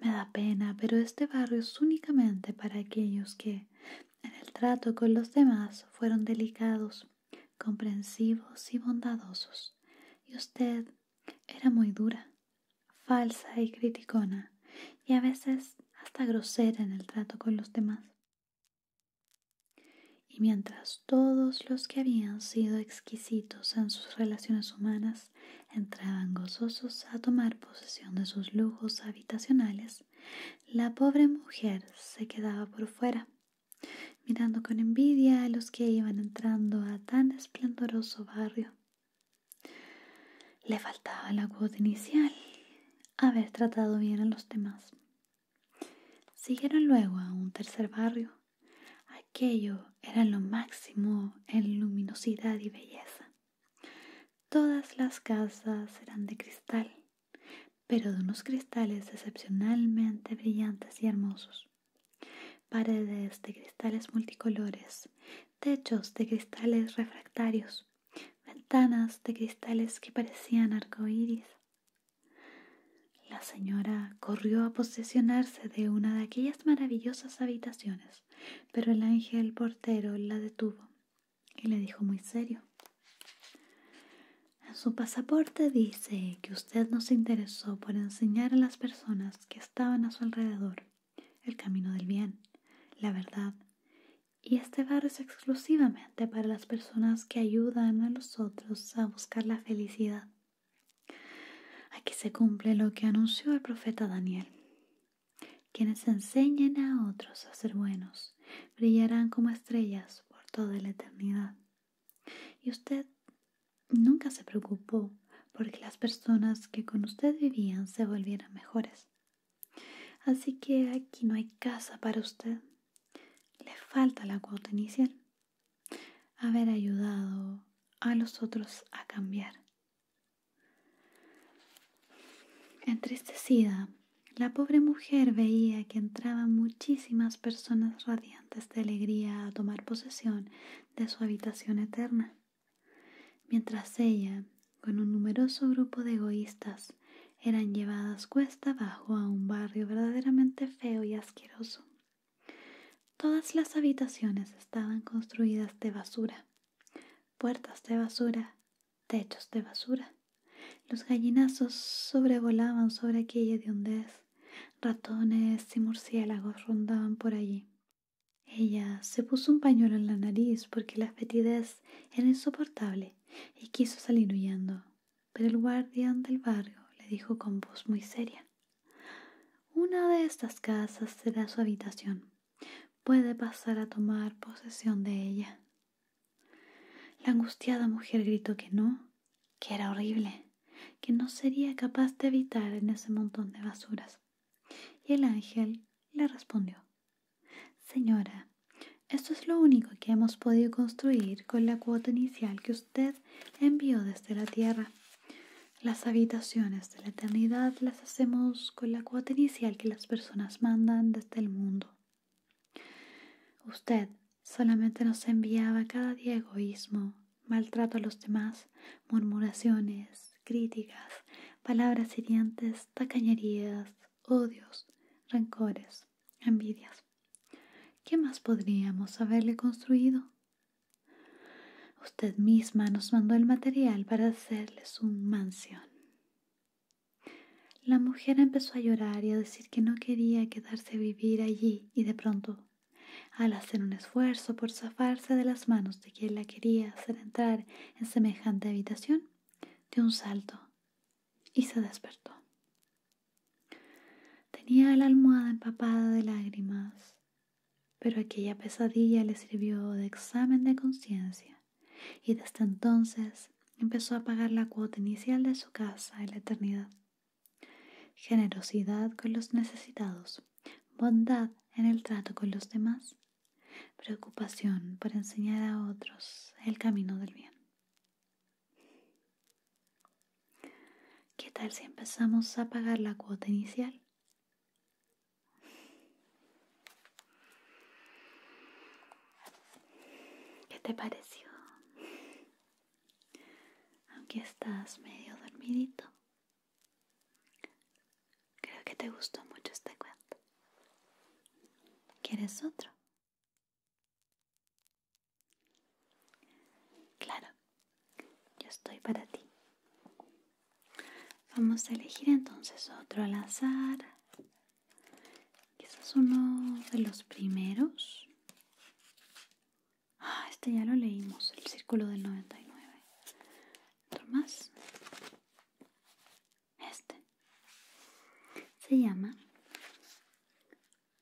Me da pena, pero este barrio es únicamente para aquellos que, en el trato con los demás, fueron delicados, comprensivos y bondadosos. Y usted era muy dura, falsa y criticona, y a veces hasta grosera en el trato con los demás. Y mientras todos los que habían sido exquisitos en sus relaciones humanas entraban gozosos a tomar posesión de sus lujos habitacionales, la pobre mujer se quedaba por fuera, mirando con envidia a los que iban entrando a tan esplendoroso barrio. Le faltaba la cuota inicial haber tratado bien a los demás. Siguieron luego a un tercer barrio. Aquello era lo máximo en luminosidad y belleza. Todas las casas eran de cristal, pero de unos cristales excepcionalmente brillantes y hermosos. Paredes de cristales multicolores, techos de cristales refractarios, ventanas de cristales que parecían arcoíris. La señora corrió a posesionarse de una de aquellas maravillosas habitaciones, pero el ángel portero la detuvo y le dijo muy serio. En su pasaporte dice que usted nos interesó por enseñar a las personas que estaban a su alrededor el camino del bien, la verdad y este bar es exclusivamente para las personas que ayudan a los otros a buscar la felicidad. Aquí se cumple lo que anunció el profeta Daniel. Quienes enseñen a otros a ser buenos brillarán como estrellas por toda la eternidad. Y usted nunca se preocupó porque las personas que con usted vivían se volvieran mejores. Así que aquí no hay casa para usted. Le falta la cuota inicial. Haber ayudado a los otros a cambiar. Entristecida, la pobre mujer veía que entraban muchísimas personas radiantes de alegría a tomar posesión de su habitación eterna, mientras ella con un numeroso grupo de egoístas, eran llevadas cuesta abajo a un barrio verdaderamente feo y asqueroso. Todas las habitaciones estaban construidas de basura, puertas de basura, techos de basura. Los gallinazos sobrevolaban sobre aquella hediondez, ratones y murciélagos rondaban por allí. Ella se puso un pañuelo en la nariz porque la fetidez era insoportable y quiso salir huyendo, pero el guardián del barrio le dijo con voz muy seria Una de estas casas será su habitación. Puede pasar a tomar posesión de ella. La angustiada mujer gritó que no, que era horrible, que no sería capaz de habitar en ese montón de basuras. Y el ángel le respondió Señora, esto es lo único que hemos podido construir con la cuota inicial que usted envió desde la Tierra. Las habitaciones de la eternidad las hacemos con la cuota inicial que las personas mandan desde el mundo. Usted solamente nos enviaba cada día egoísmo, maltrato a los demás, murmuraciones, críticas, palabras hirientes, tacañerías, odios, rencores envidias, ¿Qué más podríamos haberle construido? Usted misma nos mandó el material para hacerles un mansión. La mujer empezó a llorar y a decir que no quería quedarse a vivir allí y de pronto, al hacer un esfuerzo por zafarse de las manos de quien la quería hacer entrar en semejante habitación, dio un salto y se despertó. Tenía la almohada empapada de lágrimas, pero aquella pesadilla le sirvió de examen de conciencia y desde entonces empezó a pagar la cuota inicial de su casa en la eternidad. Generosidad con los necesitados, bondad en el trato con los demás, preocupación por enseñar a otros el camino del bien. ¿Qué tal si empezamos a pagar la cuota inicial? ¿Qué te pareció? Aunque estás medio dormidito. Creo que te gustó mucho este cuento. ¿Quieres otro? Claro, yo estoy para ti. Vamos a elegir entonces otro al azar. es uno de los primeros. Ah, este ya lo leímos, el círculo del 99. ¿Otro más? Este se llama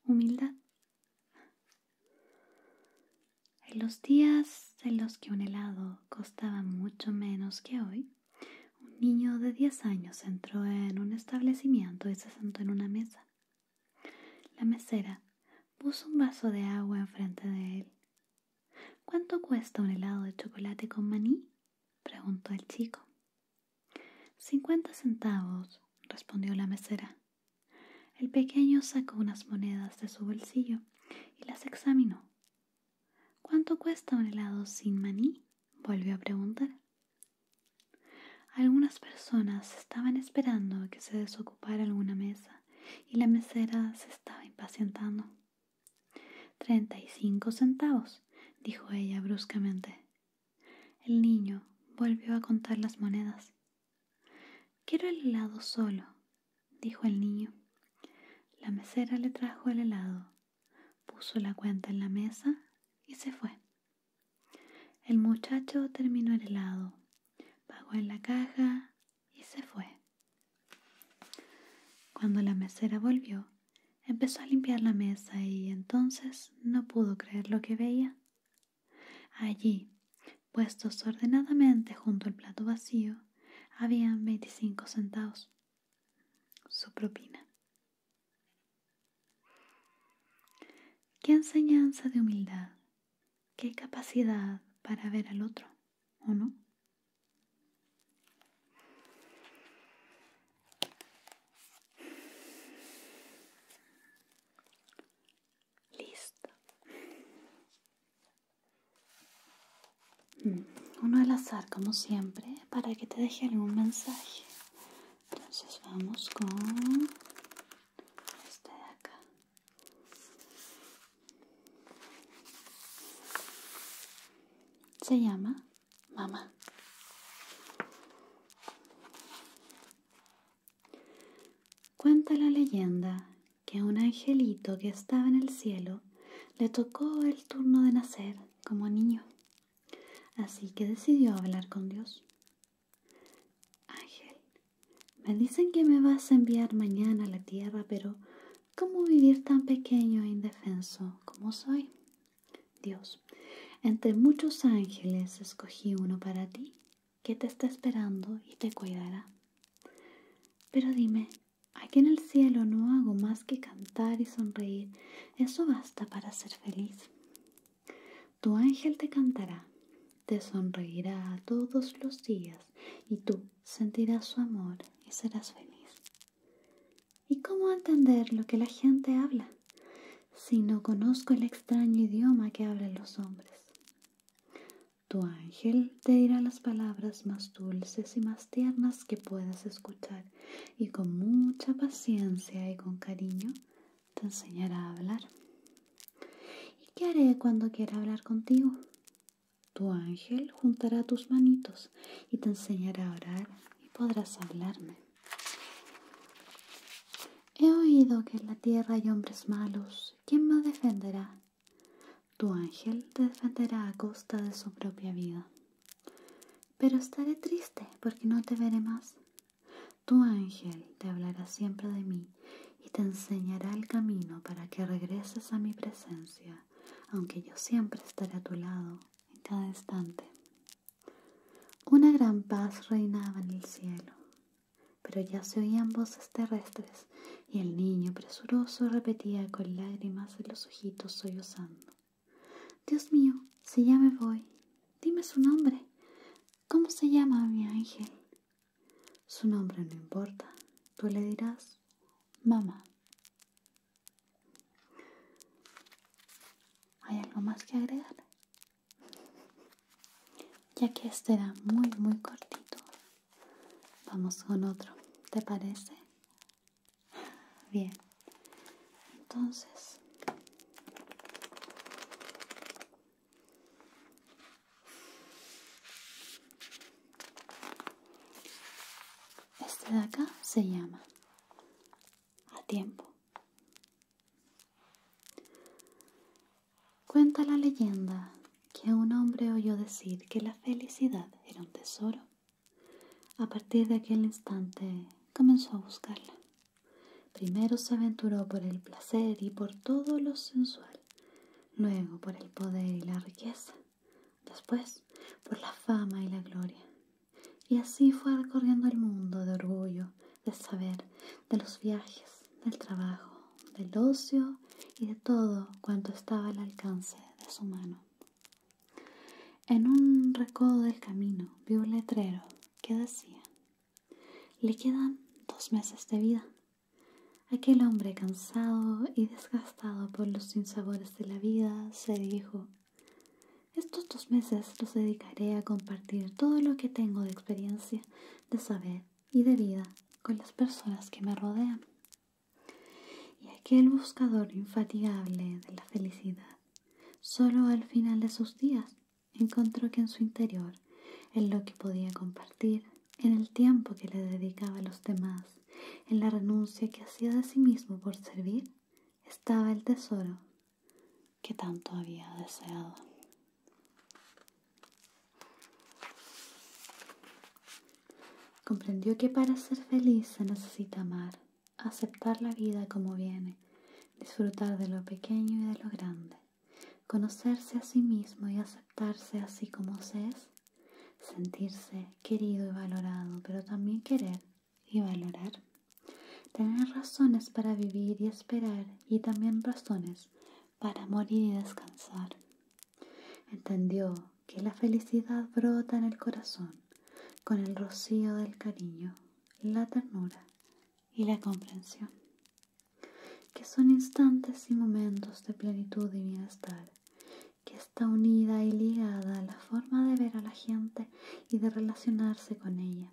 humildad. En los días en los que un helado costaba mucho menos que hoy, un niño de 10 años entró en un establecimiento y se sentó en una mesa. La mesera puso un vaso de agua enfrente de él. ¿Cuánto cuesta un helado de chocolate con maní? preguntó el chico. Cincuenta centavos, respondió la mesera. El pequeño sacó unas monedas de su bolsillo y las examinó. ¿Cuánto cuesta un helado sin maní? volvió a preguntar. Algunas personas estaban esperando que se desocupara alguna mesa y la mesera se estaba impacientando. Treinta y cinco centavos, dijo ella bruscamente. El niño volvió a contar las monedas. Quiero el helado solo, dijo el niño. La mesera le trajo el helado, puso la cuenta en la mesa y se fue. El muchacho terminó el helado, pagó en la caja y se fue. Cuando la mesera volvió, empezó a limpiar la mesa y entonces no pudo creer lo que veía. Allí, puestos ordenadamente junto al plato vacío, habían veinticinco centavos. Su propina. Qué enseñanza de humildad, qué capacidad para ver al otro, ¿o no? Listo. Mm, uno al azar, como siempre, para que te deje algún mensaje. Entonces vamos con este de acá. Se llama mamá. Cuenta la leyenda que a un angelito que estaba en el cielo le tocó el turno de nacer como niño, así que decidió hablar con Dios. Ángel, me dicen que me vas a enviar mañana a la tierra, pero ¿cómo vivir tan pequeño e indefenso como soy? Dios, entre muchos ángeles escogí uno para ti, que te está esperando y te cuidará. Pero dime, aquí en el cielo no hago más que cantar y sonreír, eso basta para ser feliz. Tu ángel te cantará, te sonreirá todos los días y tú sentirás su amor y serás feliz. ¿Y cómo entender lo que la gente habla si no conozco el extraño idioma que hablan los hombres? Tu ángel te dirá las palabras más dulces y más tiernas que puedas escuchar y con mucha paciencia y con cariño te enseñará a hablar. ¿Y qué haré cuando quiera hablar contigo? Tu ángel juntará tus manitos y te enseñará a orar y podrás hablarme. He oído que en la tierra hay hombres malos. ¿Quién me defenderá? Tu ángel te defenderá a costa de su propia vida. Pero estaré triste porque no te veré más. Tu ángel te hablará siempre de mí y te enseñará el camino para que regreses a mi presencia, aunque yo siempre estaré a tu lado en cada instante. Una gran paz reinaba en el cielo, pero ya se oían voces terrestres y el niño presuroso repetía con lágrimas en los ojitos sollozando. Dios mío, si ya me voy, dime su nombre. ¿Cómo se llama mi ángel? Su nombre no importa, tú le dirás mamá. ¿Hay algo más que agregar? Ya que este era muy, muy cortito, vamos con otro. ¿Te parece? Bien. Entonces... Este de acá se llama a tiempo. Cuenta la leyenda que un hombre oyó decir que la felicidad era un tesoro. A partir de aquel instante comenzó a buscarla. Primero se aventuró por el placer y por todo lo sensual, luego por el poder y la riqueza, después por la fama y la gloria, y así fue recorriendo el mundo de orgullo, de saber, de los viajes, del trabajo, del ocio y de todo cuanto estaba al alcance de su mano. En un recodo del camino vio un letrero que decía, le quedan dos meses de vida. Aquel hombre cansado y desgastado por los sinsabores de la vida se dijo estos dos meses los dedicaré a compartir todo lo que tengo de experiencia, de saber y de vida con las personas que me rodean. Y aquel buscador infatigable de la felicidad, solo al final de sus días, encontró que en su interior, en lo que podía compartir, en el tiempo que le dedicaba a los demás, en la renuncia que hacía de sí mismo por servir, estaba el tesoro que tanto había deseado. Comprendió que para ser feliz se necesita amar, aceptar la vida como viene, disfrutar de lo pequeño y de lo grande, conocerse a sí mismo y aceptarse así como se es, sentirse querido y valorado, pero también querer y valorar. Tener razones para vivir y esperar y también razones para morir y descansar. Entendió que la felicidad brota en el corazón con el rocío del cariño, la ternura y la comprensión, que son instantes y momentos de plenitud y bienestar, que está unida y ligada a la forma de ver a la gente y de relacionarse con ella,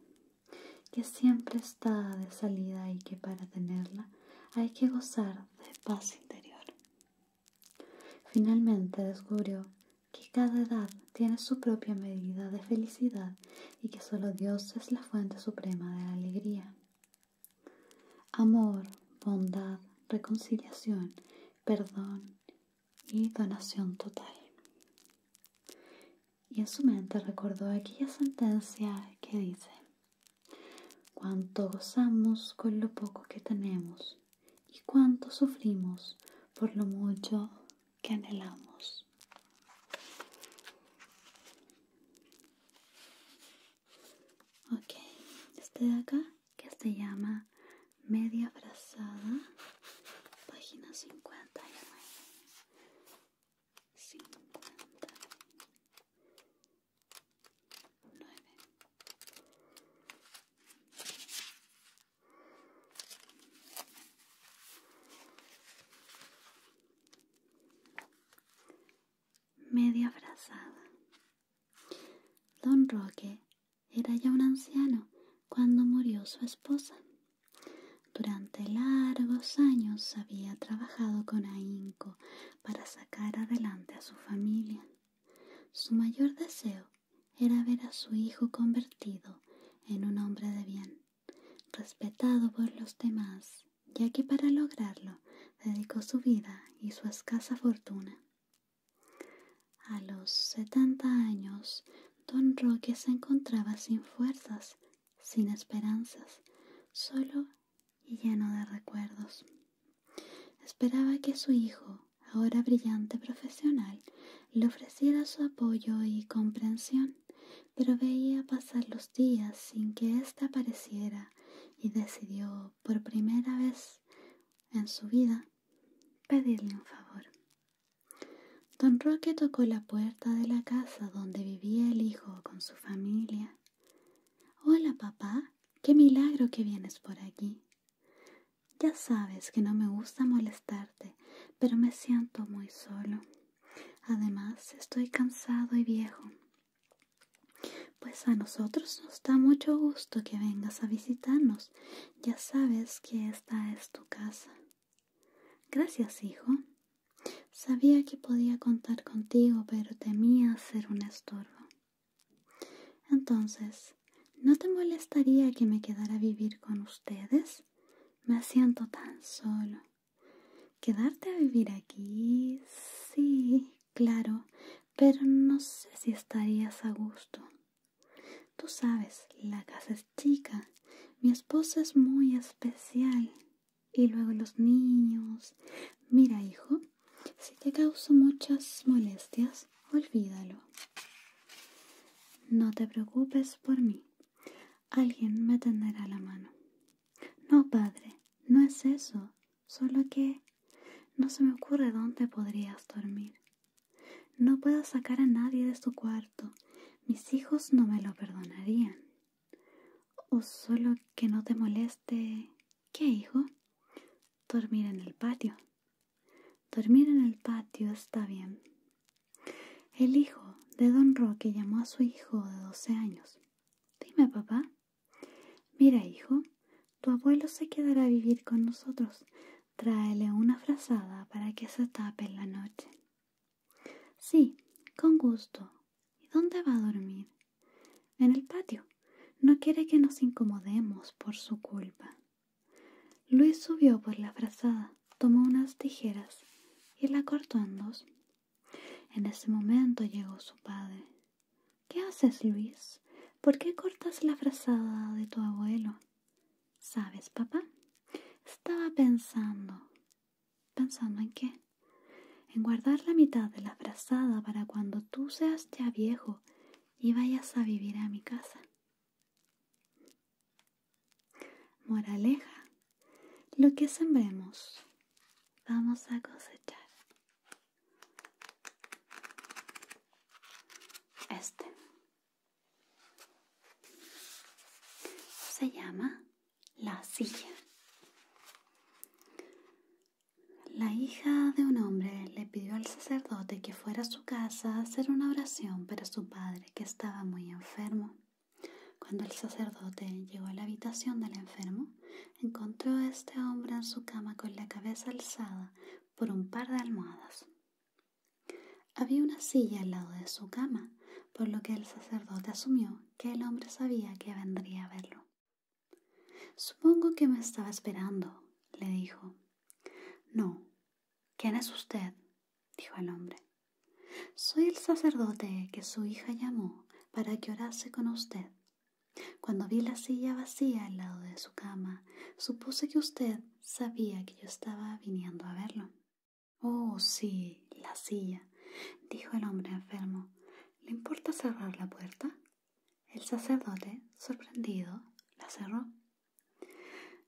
que siempre está de salida y que para tenerla hay que gozar de paz interior. Finalmente descubrió que cada edad tiene su propia medida de felicidad y que solo Dios es la fuente suprema de la alegría. Amor, bondad, reconciliación, perdón y donación total. Y en su mente recordó aquella sentencia que dice, cuánto gozamos con lo poco que tenemos y cuánto sufrimos por lo mucho que anhelamos. Ok, este de acá que se llama Media abrazada, página 50 nueve, nueve. Media brazada. Don Roque era ya un anciano cuando murió su esposa. Durante largos años había trabajado con ahínco para sacar adelante a su familia. Su mayor deseo era ver a su hijo convertido en un hombre de bien, respetado por los demás, ya que para lograrlo dedicó su vida y su escasa fortuna. A los setenta años Don Roque se encontraba sin fuerzas, sin esperanzas, solo y lleno de recuerdos. Esperaba que su hijo, ahora brillante profesional, le ofreciera su apoyo y comprensión, pero veía pasar los días sin que ésta apareciera y decidió, por primera vez en su vida, pedirle un favor. Don Roque tocó la puerta de la casa donde vivía el hijo con su familia. Hola, papá. Qué milagro que vienes por aquí. Ya sabes que no me gusta molestarte, pero me siento muy solo. Además, estoy cansado y viejo. Pues a nosotros nos da mucho gusto que vengas a visitarnos. Ya sabes que esta es tu casa. Gracias, hijo. Sabía que podía contar contigo, pero temía ser un estorbo. Entonces, ¿no te molestaría que me quedara a vivir con ustedes? Me siento tan solo. Quedarte a vivir aquí, sí, claro, pero no sé si estarías a gusto. Tú sabes, la casa es chica, mi esposa es muy especial. Y luego los niños. Mira, hijo, si te causo muchas molestias, olvídalo. No te preocupes por mí. Alguien me tenderá la mano. No, padre, no es eso. Solo que no se me ocurre dónde podrías dormir. No puedo sacar a nadie de su cuarto. Mis hijos no me lo perdonarían. O solo que no te moleste. ¿Qué, hijo? Dormir en el patio. Dormir en el patio está bien. El hijo de don Roque llamó a su hijo de doce años. Dime, papá. Mira, hijo, tu abuelo se quedará a vivir con nosotros. Tráele una frazada para que se tape en la noche. Sí, con gusto. ¿Y dónde va a dormir? En el patio. No quiere que nos incomodemos por su culpa. Luis subió por la frazada, tomó unas tijeras y la cortó en dos. En ese momento llegó su padre. ¿Qué haces, Luis? ¿Por qué cortas la frazada de tu abuelo? ¿Sabes, papá? Estaba pensando. ¿Pensando en qué? En guardar la mitad de la frazada para cuando tú seas ya viejo y vayas a vivir a mi casa. Moraleja, lo que sembremos vamos a cosechar. Este se llama La silla. La hija de un hombre le pidió al sacerdote que fuera a su casa a hacer una oración para su padre que estaba muy enfermo. Cuando el sacerdote llegó a la habitación del enfermo, encontró a este hombre en su cama con la cabeza alzada por un par de almohadas. Había una silla al lado de su cama, por lo que el sacerdote asumió que el hombre sabía que vendría a verlo. Supongo que me estaba esperando, le dijo. No. ¿Quién es usted? dijo el hombre. Soy el sacerdote que su hija llamó para que orase con usted. Cuando vi la silla vacía al lado de su cama, supuse que usted sabía que yo estaba viniendo a verlo. Oh, sí, la silla, dijo el hombre enfermo. ¿Le importa cerrar la puerta? El sacerdote, sorprendido, la cerró.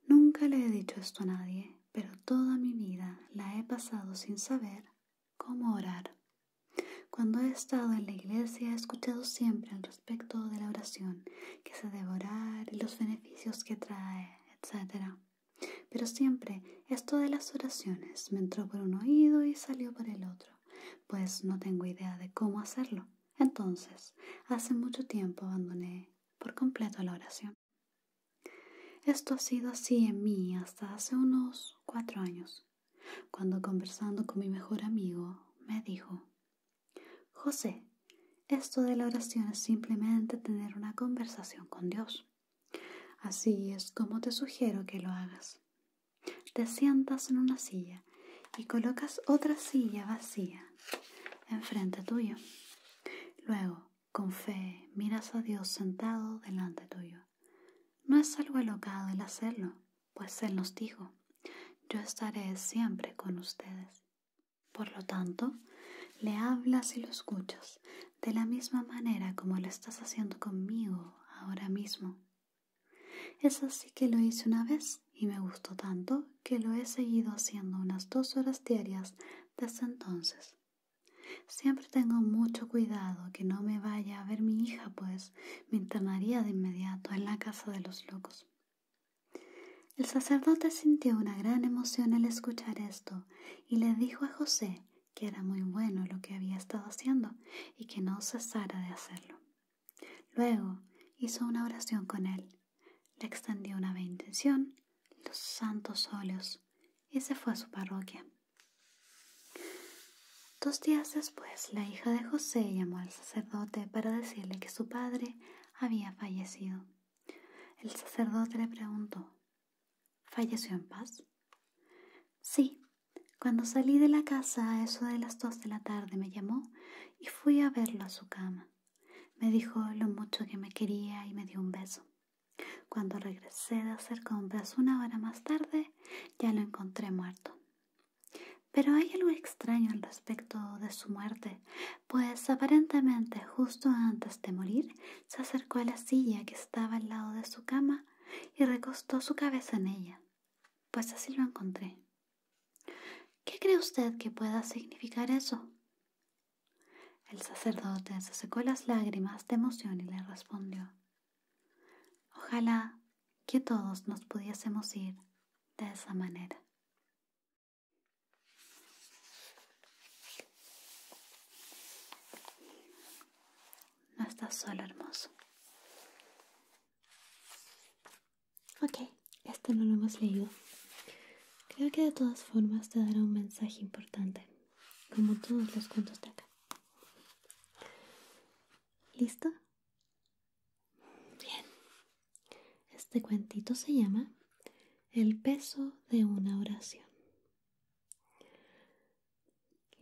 Nunca le he dicho esto a nadie, pero toda mi vida la he pasado sin saber cómo orar. Cuando he estado en la iglesia he escuchado siempre al respecto de la oración, que se debe orar y los beneficios que trae, etc. Pero siempre esto de las oraciones me entró por un oído y salió por el otro, pues no tengo idea de cómo hacerlo. Entonces, hace mucho tiempo abandoné por completo la oración. Esto ha sido así en mí hasta hace unos cuatro años, cuando conversando con mi mejor amigo me dijo, José, esto de la oración es simplemente tener una conversación con Dios. Así es como te sugiero que lo hagas. Te sientas en una silla y colocas otra silla vacía enfrente tuyo. Luego, con fe, miras a Dios sentado delante tuyo. No es algo alocado el hacerlo, pues Él nos dijo, yo estaré siempre con ustedes. Por lo tanto, le hablas y lo escuchas de la misma manera como lo estás haciendo conmigo ahora mismo. Es así que lo hice una vez y me gustó tanto que lo he seguido haciendo unas dos horas diarias desde entonces. Siempre tengo mucho cuidado que no me vaya a ver mi hija, pues me internaría de inmediato en la casa de los locos. El sacerdote sintió una gran emoción al escuchar esto y le dijo a José que era muy bueno lo que había estado haciendo y que no cesara de hacerlo. Luego hizo una oración con él, le extendió una bendición, los santos óleos, y se fue a su parroquia. Dos días después, la hija de José llamó al sacerdote para decirle que su padre había fallecido. El sacerdote le preguntó, ¿falleció en paz? Sí, cuando salí de la casa a eso de las dos de la tarde me llamó y fui a verlo a su cama. Me dijo lo mucho que me quería y me dio un beso. Cuando regresé de hacer compras una hora más tarde, ya lo encontré muerto. Pero hay algo extraño al respecto de su muerte, pues aparentemente justo antes de morir se acercó a la silla que estaba al lado de su cama y recostó su cabeza en ella, pues así lo encontré. ¿Qué cree usted que pueda significar eso? El sacerdote se secó las lágrimas de emoción y le respondió, Ojalá que todos nos pudiésemos ir de esa manera. No estás solo, hermoso. Ok, esto no lo hemos leído. Creo que de todas formas te dará un mensaje importante, como todos los cuentos de acá. ¿Listo? Bien. Este cuentito se llama el peso de una oración.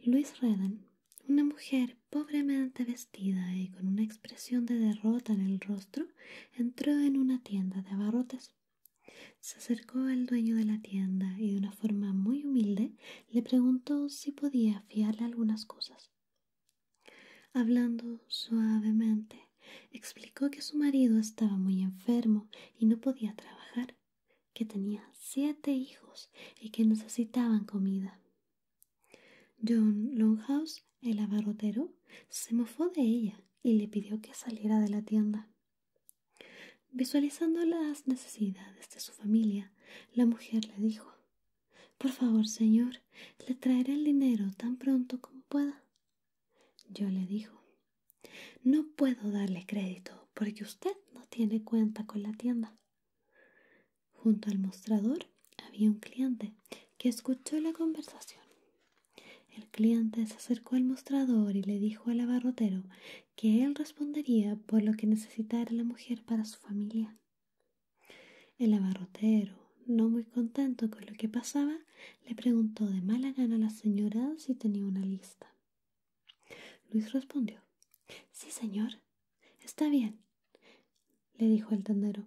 Luis Redden, una mujer pobremente vestida y con una expresión de derrota en el rostro, entró en una tienda de abarrotes. Se acercó al dueño de la tienda y de una forma muy humilde le preguntó si podía fiarle algunas cosas. Hablando suavemente, [laughs] explicó que su marido estaba muy enfermo y no podía trabajar, que tenía siete hijos y que necesitaban comida. John Longhouse, el abarrotero, se mofó de ella y le pidió que saliera de la tienda. Visualizando las necesidades de su familia, la mujer le dijo Por favor, señor, le traeré el dinero tan pronto como pueda. Yo le dijo, no puedo darle crédito porque usted no tiene cuenta con la tienda. Junto al mostrador había un cliente que escuchó la conversación. El cliente se acercó al mostrador y le dijo al abarrotero que él respondería por lo que necesitara la mujer para su familia. El abarrotero, no muy contento con lo que pasaba, le preguntó de mala gana a la señora si tenía una lista. Luis respondió, Sí, señor. Está bien, le dijo el tendero.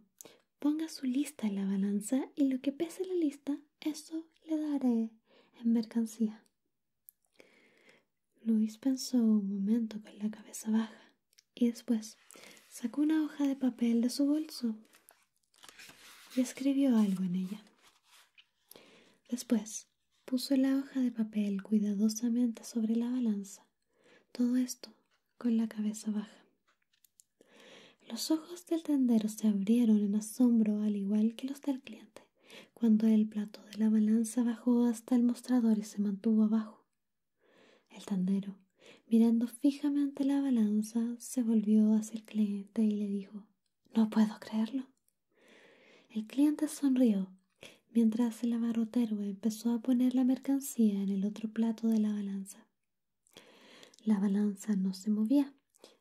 Ponga su lista en la balanza y lo que pese la lista, eso le daré en mercancía. Luis pensó un momento con la cabeza baja y después sacó una hoja de papel de su bolso y escribió algo en ella. Después puso la hoja de papel cuidadosamente sobre la balanza, todo esto con la cabeza baja. Los ojos del tendero se abrieron en asombro al igual que los del cliente, cuando el plato de la balanza bajó hasta el mostrador y se mantuvo abajo. El tendero, mirando fijamente la balanza, se volvió hacia el cliente y le dijo no puedo creerlo. El cliente sonrió mientras el abarrotero empezó a poner la mercancía en el otro plato de la balanza. La balanza no se movía,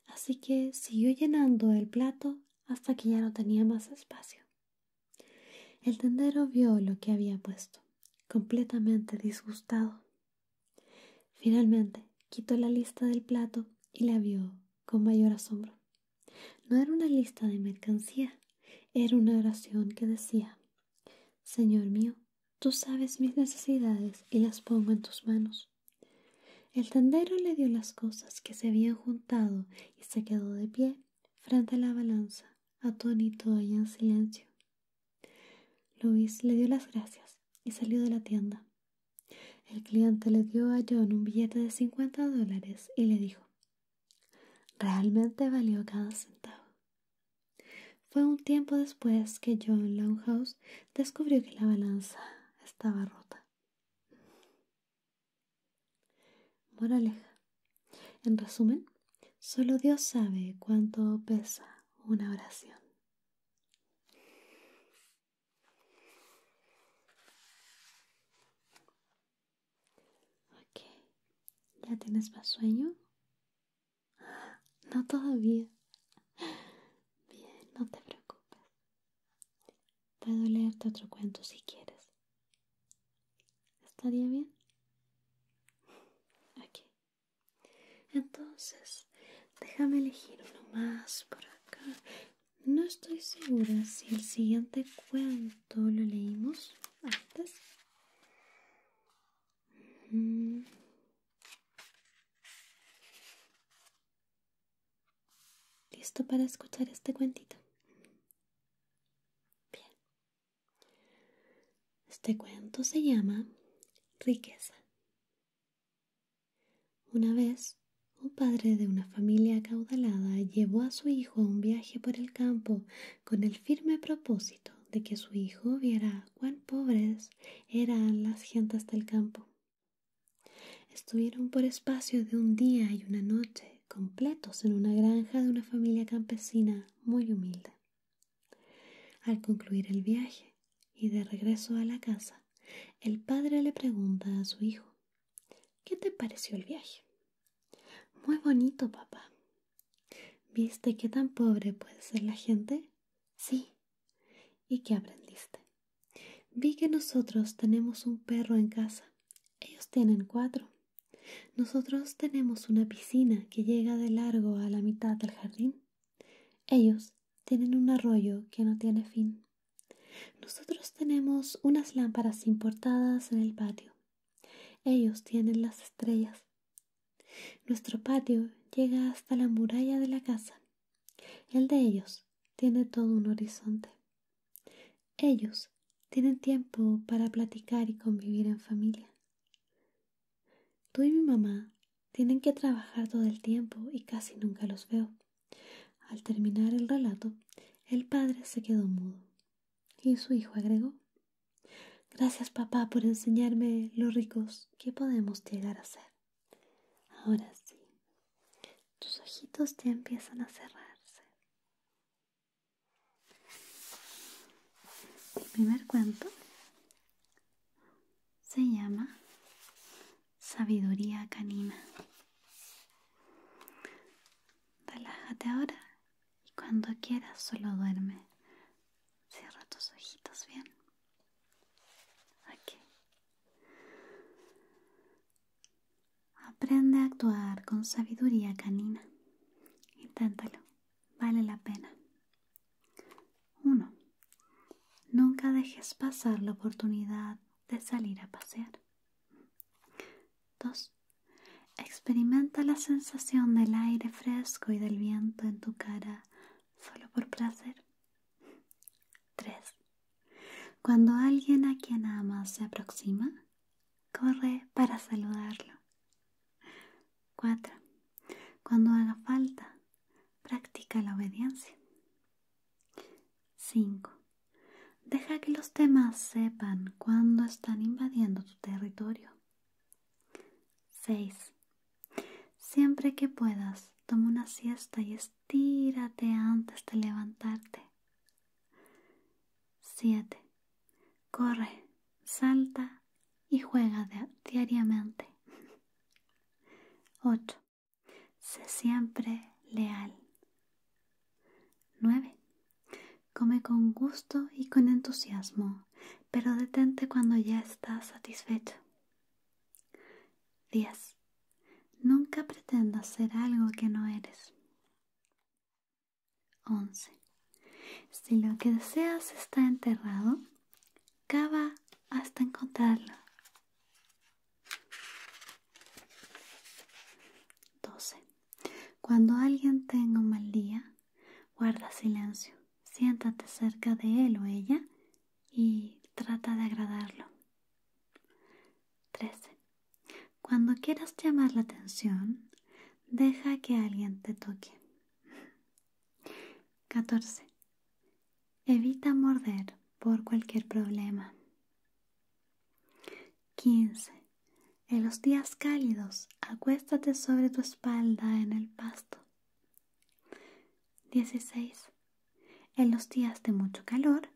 así que siguió llenando el plato hasta que ya no tenía más espacio. El tendero vio lo que había puesto, completamente disgustado. Finalmente, quitó la lista del plato y la vio con mayor asombro. No era una lista de mercancía, era una oración que decía, Señor mío, tú sabes mis necesidades y las pongo en tus manos. El tendero le dio las cosas que se habían juntado y se quedó de pie frente a la balanza, atónito y en silencio. Luis le dio las gracias y salió de la tienda. El cliente le dio a John un billete de 50 dólares y le dijo, realmente valió cada centavo. Fue un tiempo después que John Longhouse descubrió que la balanza estaba rota. Moraleja. En resumen, solo Dios sabe cuánto pesa una oración. Ok, ¿ya tienes más sueño? No todavía. Bien, no te preocupes. Puedo leerte otro cuento si quieres. ¿Estaría bien? Ok. Entonces, Déjame elegir uno más por acá. No estoy segura si el siguiente cuento lo leímos antes. Mm. ¿Listo para escuchar este cuentito? Bien. Este cuento se llama Riqueza una vez, un padre de una familia acaudalada llevó a su hijo a un viaje por el campo con el firme propósito de que su hijo viera cuán pobres eran las gentes del campo. Estuvieron por espacio de un día y una noche completos en una granja de una familia campesina muy humilde. Al concluir el viaje, y de regreso a la casa, el padre le pregunta a su hijo, ¿qué te pareció el viaje? Muy bonito, papá. ¿Viste qué tan pobre puede ser la gente? Sí. ¿Y qué aprendiste? Vi que nosotros tenemos un perro en casa. Ellos tienen cuatro. Nosotros tenemos una piscina que llega de largo a la mitad del jardín. Ellos tienen un arroyo que no tiene fin. Nosotros tenemos unas lámparas importadas en el patio. Ellos tienen las estrellas. Nuestro patio llega hasta la muralla de la casa. El de ellos tiene todo un horizonte. Ellos tienen tiempo para platicar y convivir en familia. Tú y mi mamá tienen que trabajar todo el tiempo y casi nunca los veo. Al terminar el relato, el padre se quedó mudo y su hijo agregó Gracias papá por enseñarme lo ricos que podemos llegar a ser. Ahora sí, tus ojitos ya empiezan a cerrarse. El primer cuento se llama sabiduría canina. Relájate ahora y cuando quieras solo duerme. Cierra tus ojitos bien. Aprende a actuar con sabiduría canina. Inténtalo. Vale la pena. 1. Nunca dejes pasar la oportunidad de salir a pasear. 2. Experimenta la sensación del aire fresco y del viento en tu cara solo por placer. 3. Cuando alguien a quien amas se aproxima, corre para saludarlo. 4. Cuando haga falta, practica la obediencia. 5. Deja que los demás sepan cuándo están invadiendo tu territorio. 6. Siempre que puedas, toma una siesta y estírate antes de levantarte. 7. Corre, salta y juega diariamente. 8. Sé siempre leal. 9. Come con gusto y con entusiasmo, pero detente cuando ya estás satisfecho. 10. Nunca pretendas ser algo que no eres. 11. Si lo que deseas está enterrado, cava hasta encontrarlo. 12. Cuando alguien tenga un mal día, guarda silencio. Siéntate cerca de él o ella y trata de agradarlo. 13. Cuando quieras llamar la atención, deja que alguien te toque. 14. Evita morder por cualquier problema. 15. En los días cálidos, acuéstate sobre tu espalda en el pasto. 16. En los días de mucho calor,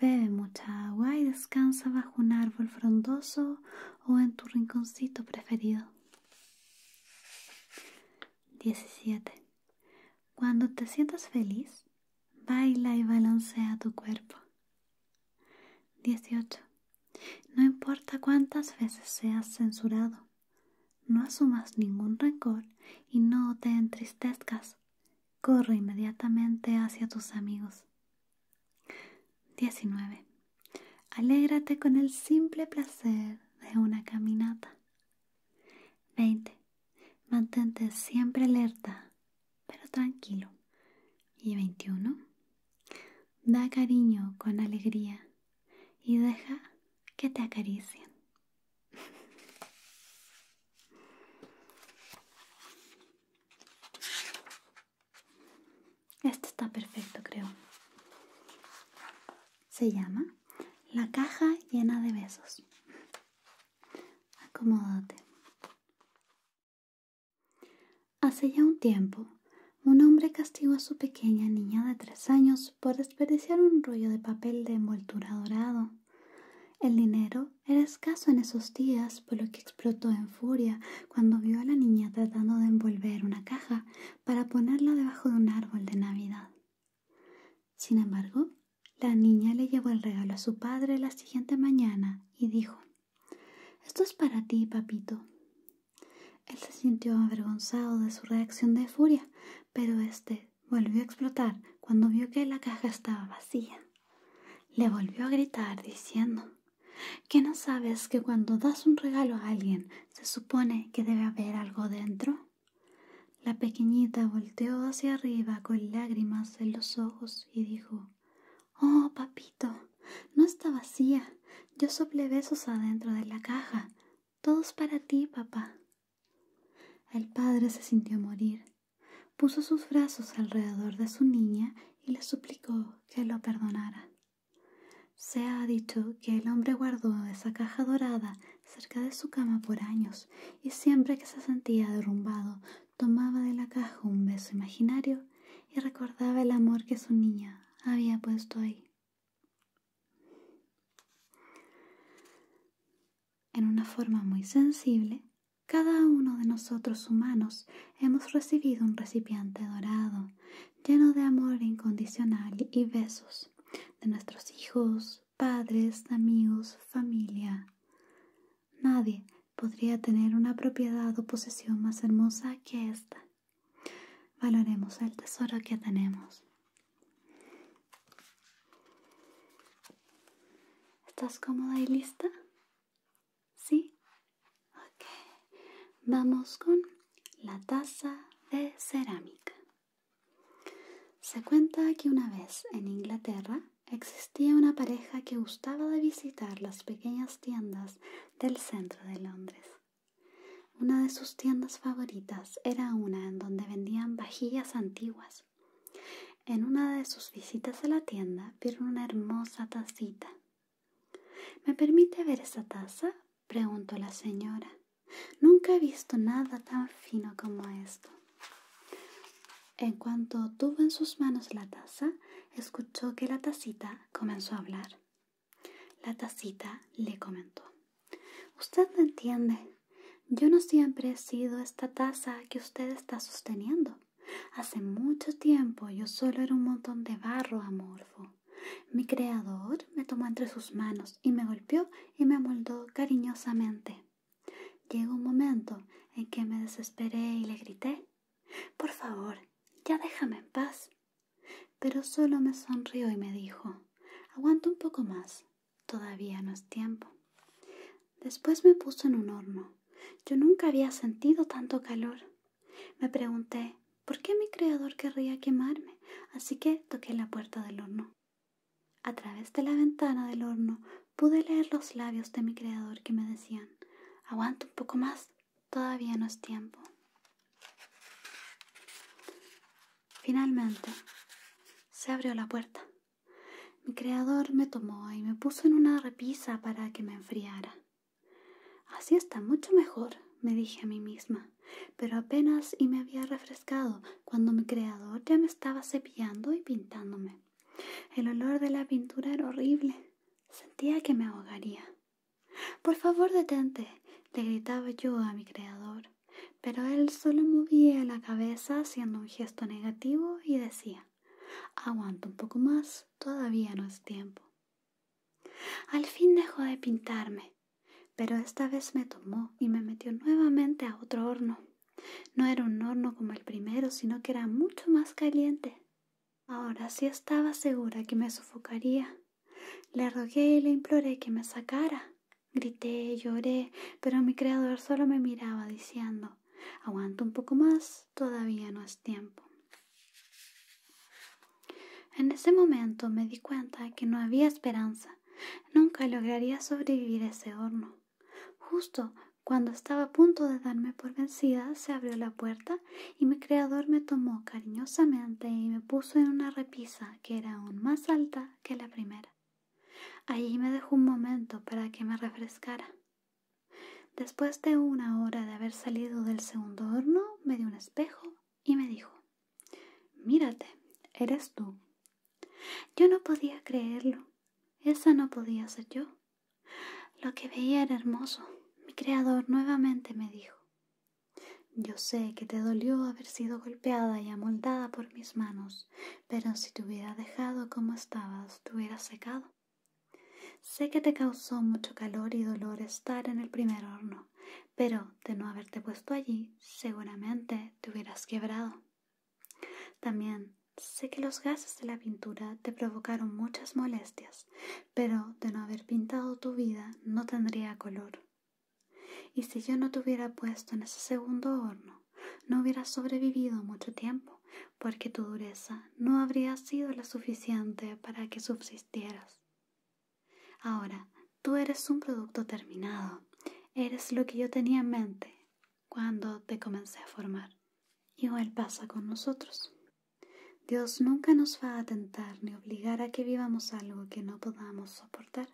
bebe mucha agua y descansa bajo un árbol frondoso o en tu rinconcito preferido. 17. Cuando te sientas feliz, baila y balancea tu cuerpo. 18. No importa cuántas veces seas censurado, no asumas ningún rencor y no te entristezcas. Corre inmediatamente hacia tus amigos. 19. Alégrate con el simple placer de una caminata. 20. Mantente siempre alerta, pero tranquilo. Y 21. Da cariño con alegría y deja que te acaricien. [laughs] Este está perfecto, creo. Se llama La caja llena de besos. Acomódate. Hace ya un tiempo, un hombre castigó a su pequeña niña de tres años por desperdiciar un rollo de papel de envoltura dorado. El dinero era escaso en esos días, por lo que explotó en furia cuando vio a la niña tratando de envolver una caja para ponerla debajo de un árbol de Navidad. Sin embargo, la niña le llevó el regalo a su padre la siguiente mañana y dijo, Esto es para ti, papito. Él se sintió avergonzado de su reacción de furia, pero este volvió a explotar cuando vio que la caja estaba vacía. Le volvió a gritar diciendo, "¿Qué no sabes que cuando das un regalo a alguien se supone que debe haber algo dentro? La pequeñita volteó hacia arriba con lágrimas en los ojos y dijo Oh, papito, no está vacía. Yo sople besos adentro de la caja. Todos para ti, papá. El padre se sintió morir. Puso sus brazos alrededor de su niña y le suplicó que lo perdonara. Se ha dicho que el hombre guardó esa caja dorada cerca de su cama por años y siempre que se sentía derrumbado tomaba de la caja un beso imaginario y recordaba el amor que su niña había puesto ahí. En una forma muy sensible, cada uno de nosotros humanos hemos recibido un recipiente dorado lleno de amor incondicional y besos de nuestros hijos, padres, amigos, familia. Nadie podría tener una propiedad o posesión más hermosa que esta. Valoremos el tesoro que tenemos. ¿Estás cómoda y lista? ¿Sí? Ok. Vamos con la taza de cerámica. Se cuenta que una vez en Inglaterra existía una pareja que gustaba de visitar las pequeñas tiendas del centro de Londres. Una de sus tiendas favoritas era una en donde vendían vajillas antiguas. En una de sus visitas a la tienda vieron una hermosa tacita. ¿Me permite ver esa taza? preguntó la señora. Nunca he visto nada tan fino como esto. En cuanto tuvo en sus manos la taza, escuchó que la tacita comenzó a hablar. La tacita le comentó. Usted me entiende. Yo no siempre he sido esta taza que usted está sosteniendo. Hace mucho tiempo yo solo era un montón de barro amorfo. Mi creador me tomó entre sus manos y me golpeó y me amoldó cariñosamente. Llegó un momento en que me desesperé y le grité, Por favor, ya déjame en paz. Pero solo me sonrió y me dijo, Aguanta un poco más, todavía no es tiempo. Después me puso en un horno. Yo nunca había sentido tanto calor. Me pregunté, ¿por qué mi creador querría quemarme? Así que toqué la puerta del horno. A través de la ventana del horno pude leer los labios de mi creador que me decían, aguanta un poco más, todavía no es tiempo. Finalmente, se abrió la puerta. Mi creador me tomó y me puso en una repisa para que me enfriara. Así está mucho mejor, me dije a mí misma, pero apenas y me había refrescado cuando mi creador ya me estaba cepillando y pintándome. El olor de la pintura era horrible. Sentía que me ahogaría. Por favor, detente, le gritaba yo a mi creador, pero él solo movía la cabeza haciendo un gesto negativo y decía, aguanta un poco más, todavía no es tiempo. Al fin dejó de pintarme, pero esta vez me tomó y me metió nuevamente a otro horno. No era un horno como el primero, sino que era mucho más caliente. Ahora sí estaba segura que me sofocaría. Le rogué y le imploré que me sacara. Grité, lloré, pero mi creador solo me miraba diciendo Aguanta un poco más, todavía no es tiempo. En ese momento me di cuenta que no había esperanza. Nunca lograría sobrevivir a ese horno. Justo cuando estaba a punto de darme por vencida, se abrió la puerta y mi creador me tomó cariñosamente y me puso en una repisa que era aún más alta que la primera. Allí me dejó un momento para que me refrescara. Después de una hora de haber salido del segundo horno, me dio un espejo y me dijo Mírate, eres tú, yo no podía creerlo. Esa no podía ser yo. Lo que veía era hermoso. Mi creador nuevamente me dijo. Yo sé que te dolió haber sido golpeada y amoldada por mis manos, pero si te hubiera dejado como estabas, te hubieras secado. Sé que te causó mucho calor y dolor estar en el primer horno, pero de no haberte puesto allí, seguramente te hubieras quebrado. También sé que los gases de la pintura te provocaron muchas molestias, pero de no haber pintado tu vida no tendría color. Y si yo no te hubiera puesto en ese segundo horno, no hubieras sobrevivido mucho tiempo, porque tu dureza no habría sido la suficiente para que subsistieras. Ahora, tú eres un producto terminado, eres lo que yo tenía en mente, cuando te comencé a formar. y Igual pasa con nosotros. Dios nunca nos va a tentar ni obligar a que vivamos algo que no podamos soportar.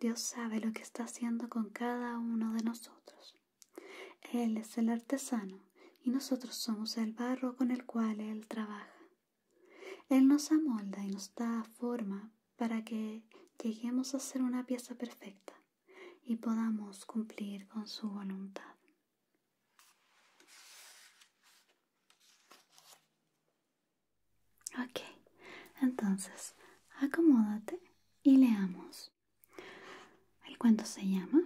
Dios sabe lo que está haciendo con cada uno de nosotros. Él es el artesano y nosotros somos el barro con el cual Él trabaja. Él nos amolda y nos da forma para que lleguemos a ser una pieza perfecta y podamos cumplir con su voluntad. Ok, entonces acomódate y leamos. El cuento se llama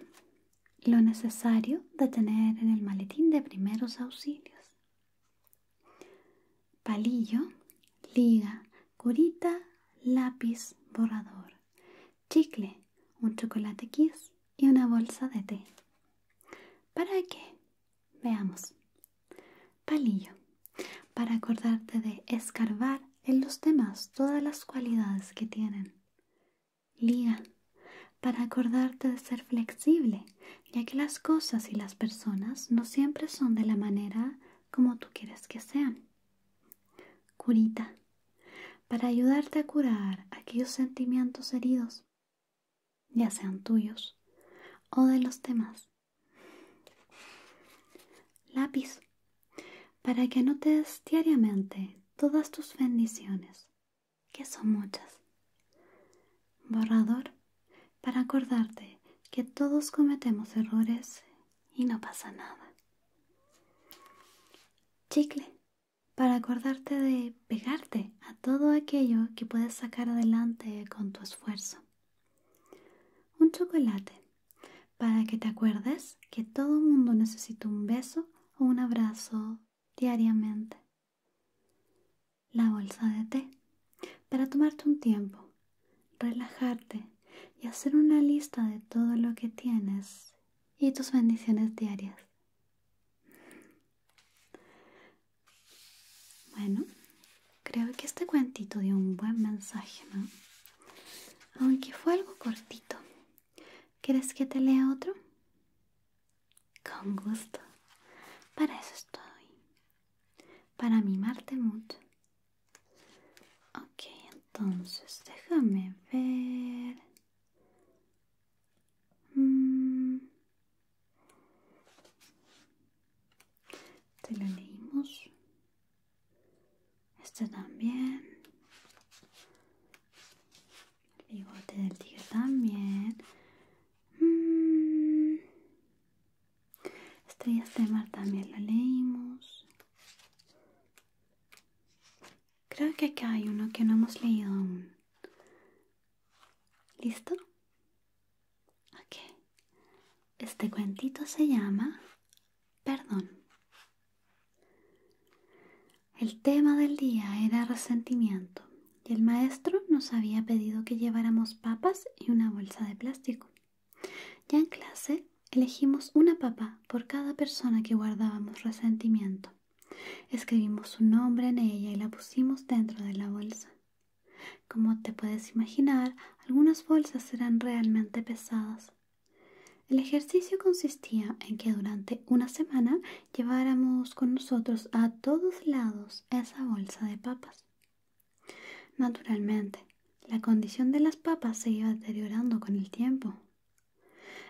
Lo necesario de tener en el maletín de primeros auxilios palillo, liga, curita, lápiz, borrador, chicle, un chocolate kiss y una bolsa de té. ¿Para qué? Veamos. Palillo. Para acordarte de escarbar en los demás todas las cualidades que tienen. Liga. Para acordarte de ser flexible, ya que las cosas y las personas no siempre son de la manera como tú quieres que sean. Curita, para ayudarte a curar aquellos sentimientos heridos, ya sean tuyos o de los demás. Lápiz, para que anotes diariamente todas tus bendiciones, que son muchas. Borrador, para acordarte que todos cometemos errores y no pasa nada. Chicle, para acordarte de pegarte a todo aquello que puedes sacar adelante con tu esfuerzo. Un chocolate, para que te acuerdes que todo mundo necesita un beso o un abrazo diariamente. La bolsa de té, para tomarte un tiempo relajarte y hacer una lista de todo lo que tienes y tus bendiciones diarias. Bueno, creo que este cuentito dio un buen mensaje, ¿no? Aunque fue algo cortito. ¿Quieres que te lea otro? Con gusto. Para eso estoy. Para mimarte mucho Okay, entonces déjame ver. Mm. Te lo leímos. Este también. El bigote del tigre también. Mm. Estrellas de mar también lo leímos. Creo que acá hay uno que no hemos leído ¿Listo? Ok. Este cuentito se llama Perdón. El tema del día era resentimiento y el maestro nos había pedido que lleváramos papas y una bolsa de plástico. Ya en clase elegimos una papa por cada persona que guardábamos resentimiento. Escribimos su nombre en ella y la pusimos dentro de la bolsa. Como te puedes imaginar, algunas bolsas eran realmente pesadas. El ejercicio consistía en que durante una semana lleváramos con nosotros a todos lados esa bolsa de papas. Naturalmente, la condición de las papas se iba deteriorando con el tiempo.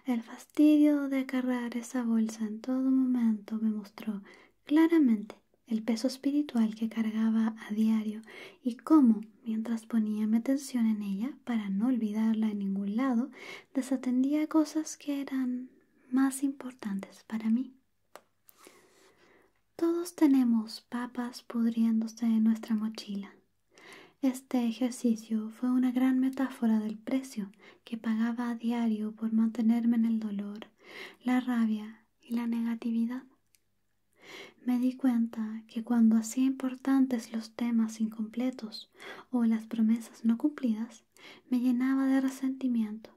El fastidio de cargar esa bolsa en todo momento me mostró claramente el peso espiritual que cargaba a diario y cómo, mientras ponía mi atención en ella para no olvidarla en ningún lado, desatendía cosas que eran más importantes para mí. Todos tenemos papas pudriéndose en nuestra mochila. Este ejercicio fue una gran metáfora del precio que pagaba a diario por mantenerme en el dolor, la rabia y la negatividad. Me di cuenta que cuando hacía importantes los temas incompletos o las promesas no cumplidas, me llenaba de resentimiento,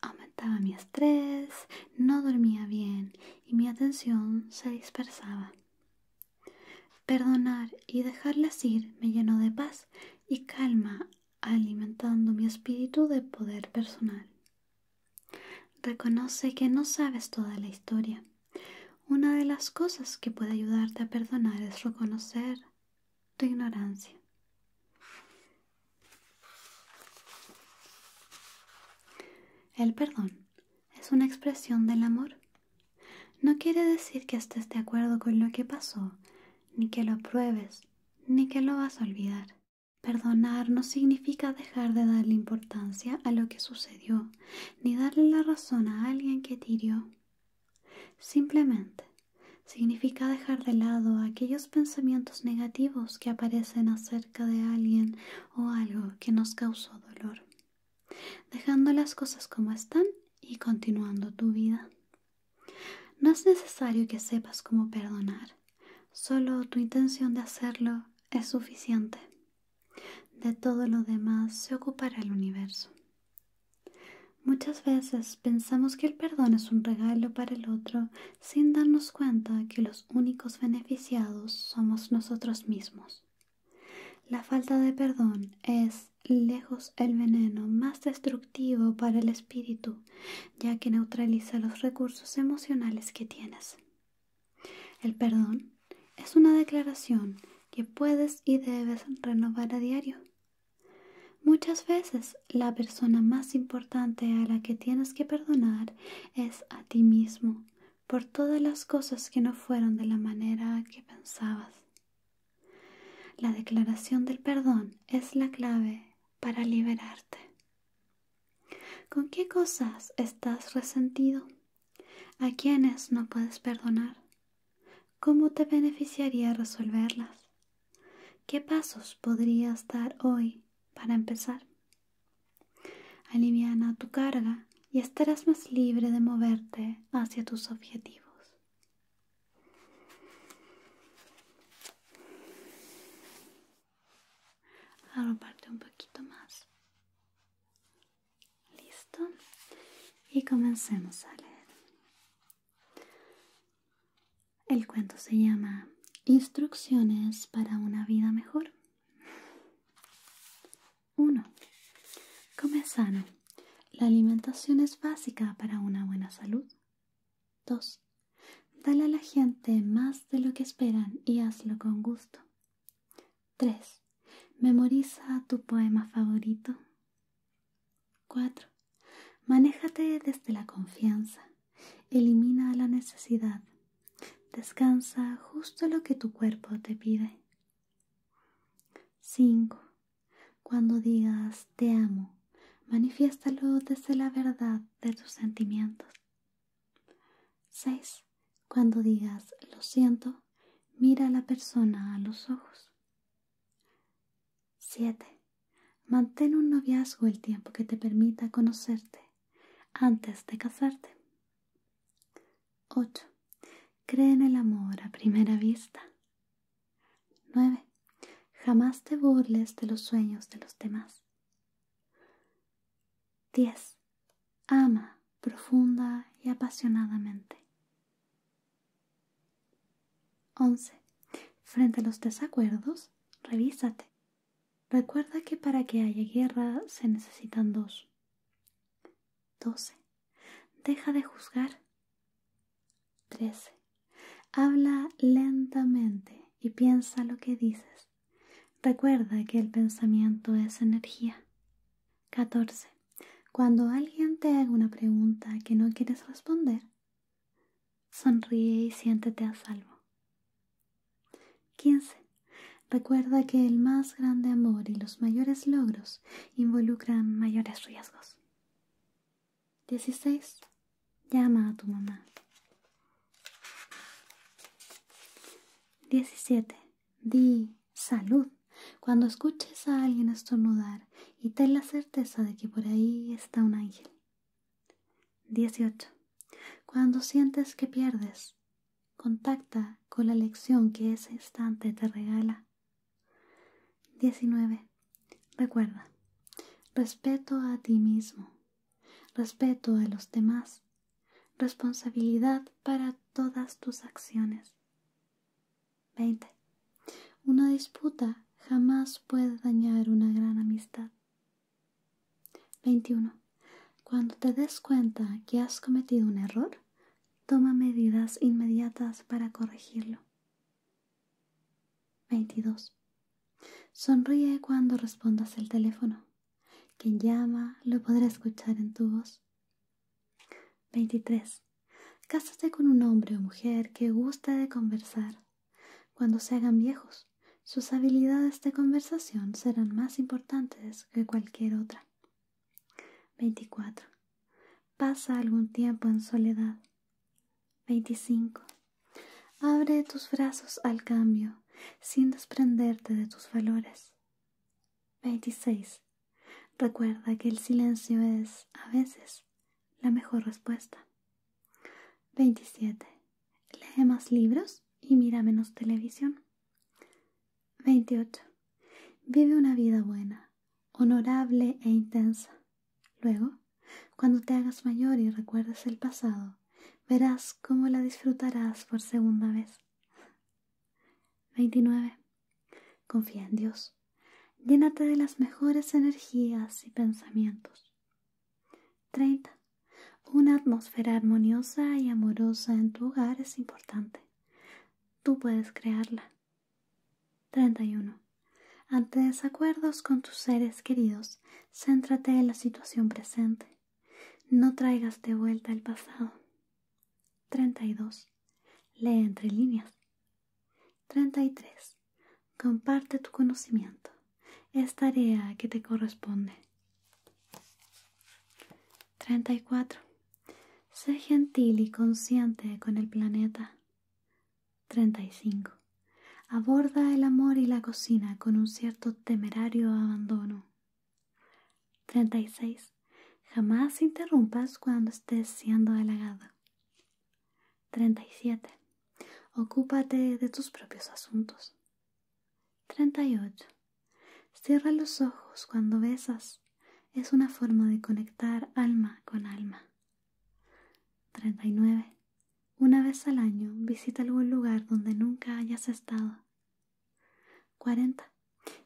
aumentaba mi estrés, no dormía bien y mi atención se dispersaba. Perdonar y dejarlas ir me llenó de paz y calma, alimentando mi espíritu de poder personal. Reconoce que no sabes toda la historia. Una de las cosas que puede ayudarte a perdonar es reconocer tu ignorancia. El perdón es una expresión del amor. No quiere decir que estés de acuerdo con lo que pasó, ni que lo pruebes, ni que lo vas a olvidar. Perdonar no significa dejar de darle importancia a lo que sucedió, ni darle la razón a alguien que tirió. Simplemente significa dejar de lado aquellos pensamientos negativos que aparecen acerca de alguien o algo que nos causó dolor, dejando las cosas como están y continuando tu vida. No es necesario que sepas cómo perdonar, solo tu intención de hacerlo es suficiente. De todo lo demás se ocupará el universo. Muchas veces pensamos que el perdón es un regalo para el otro sin darnos cuenta que los los únicos beneficiados somos nosotros mismos. La falta de perdón es lejos el veneno más destructivo para el espíritu, ya que neutraliza los recursos emocionales que tienes. El perdón es una declaración que puedes y debes renovar a diario. Muchas veces la persona más importante a la que tienes que perdonar es a ti mismo, por todas las cosas que no fueron de la manera que pensabas. La declaración del perdón es la clave para liberarte. ¿Con qué cosas estás resentido? ¿A quiénes no puedes perdonar? ¿Cómo te beneficiaría resolverlas? ¿Qué pasos podrías dar hoy para empezar? Aliviana tu carga y estarás más libre de moverte hacia tus objetivos. parte un poquito más. Listo. Y comencemos a leer. El cuento se llama Instrucciones para una vida mejor. 1. Come sano. La alimentación es básica para una buena salud. 2. Dale a la gente más de lo que esperan y hazlo con gusto. 3. Memoriza tu poema favorito. 4. Manéjate desde la confianza. Elimina la necesidad Descansa justo lo que tu cuerpo te pide. 5. Cuando digas te amo, manifiéstalo desde la verdad de tus sentimientos. 6. Cuando digas lo siento, mira a la persona a los ojos. 7. Mantén un noviazgo el tiempo que te permita conocerte antes de casarte. 8. Cree en el amor a primera vista. 9. Jamás te burles de los sueños de los demás. 10. Ama profunda y apasionadamente. 11. Frente a los desacuerdos, revísate Recuerda que para que haya guerra se necesitan dos. 12. Deja de juzgar. 13. Habla lentamente y piensa lo que dices. Recuerda que el pensamiento es energía. 14. Cuando alguien te haga una pregunta que no quieres responder, sonríe y siéntete a salvo. 15. Recuerda que el más grande amor y los mayores logros involucran mayores riesgos. 16. Llama a tu mamá. 17. Di salud cuando escuches a alguien estornudar y ten la certeza de que por ahí está un ángel. 18. Cuando sientes que pierdes, Contacta con la lección que ese instante te regala. 19. Recuerda, respeto a ti mismo, respeto a los demás, responsabilidad para todas tus acciones. 20. Una disputa jamás puede dañar una gran amistad. 21. Cuando te des cuenta que has cometido un error, toma medidas inmediatas para corregirlo. 22. Sonríe cuando respondas el teléfono. Quien llama lo podrá escuchar en tu voz. 23. Cásate con un hombre o mujer que guste de conversar. Cuando se hagan viejos, sus habilidades de conversación serán más importantes que cualquier otra. 24. Pasa algún tiempo en soledad. 25. Abre tus brazos al cambio sin desprenderte de tus valores. 26. Recuerda que el silencio es, a veces, la mejor respuesta. 27. Lee más libros y mira menos televisión. 28. Vive una vida buena, honorable e intensa. Luego, cuando te hagas mayor y recuerdes el pasado, verás cómo la disfrutarás por segunda vez. 29. Confía en Dios. Llénate de las mejores energías y pensamientos. 30. Una atmósfera armoniosa y amorosa en tu hogar es importante. Tú puedes crearla. 31. Ante desacuerdos con tus seres queridos, céntrate en la situación presente. No traigas de vuelta el pasado. 32. Lee entre líneas. 33. Comparte tu conocimiento. Es tarea que te corresponde. 34. Sé gentil y consciente con el planeta. 35. Aborda el amor y la cocina con un cierto temerario abandono. 36. Jamás interrumpas cuando estés siendo halagado. 37. Ocúpate de tus propios asuntos. 38. Cierra los ojos cuando besas. Es una forma de conectar alma con alma. 39. Una vez al año visita algún lugar donde nunca hayas estado. 40.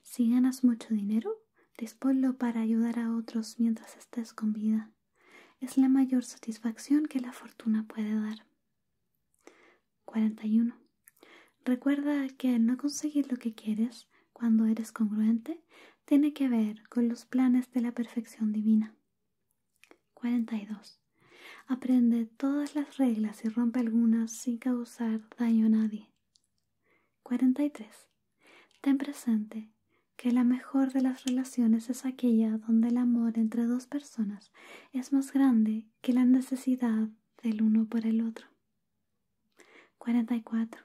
Si ganas mucho dinero, disponlo para ayudar a otros mientras estés con vida. Es la mayor satisfacción que la fortuna puede dar. 41. Recuerda que no conseguir lo que quieres cuando eres congruente tiene que ver con los planes de la perfección divina. 42. Aprende todas las reglas y rompe algunas sin causar daño a nadie. 43. Ten presente que la mejor de las relaciones es aquella donde el amor entre dos personas es más grande que la necesidad del uno por el otro. 44.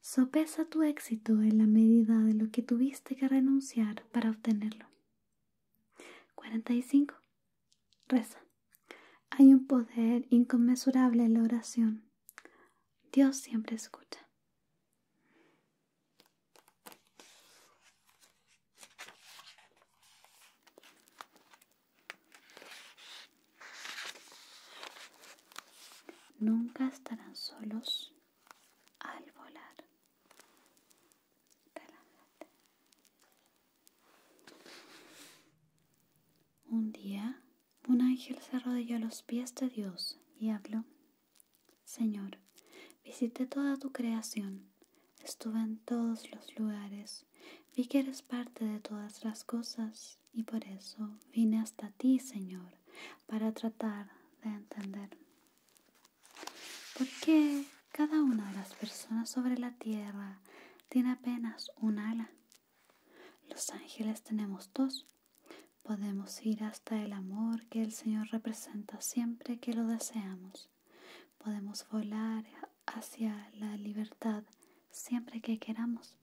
Sopesa tu éxito en la medida de lo que tuviste que renunciar para obtenerlo. 45. Reza. Hay un poder inconmensurable en la oración. Dios siempre escucha. Nunca estarán solos al volar. Un día, un ángel se arrodilló a los pies de Dios y habló, Señor, visité toda tu creación, estuve en todos los lugares Vi que eres parte de todas las cosas y por eso vine hasta ti, Señor, para tratar de entender por qué cada una de las personas sobre la tierra tiene apenas un ala. Los ángeles tenemos dos. Podemos ir hasta el amor que el Señor representa siempre que lo deseamos. Podemos volar hacia la libertad siempre que queramos.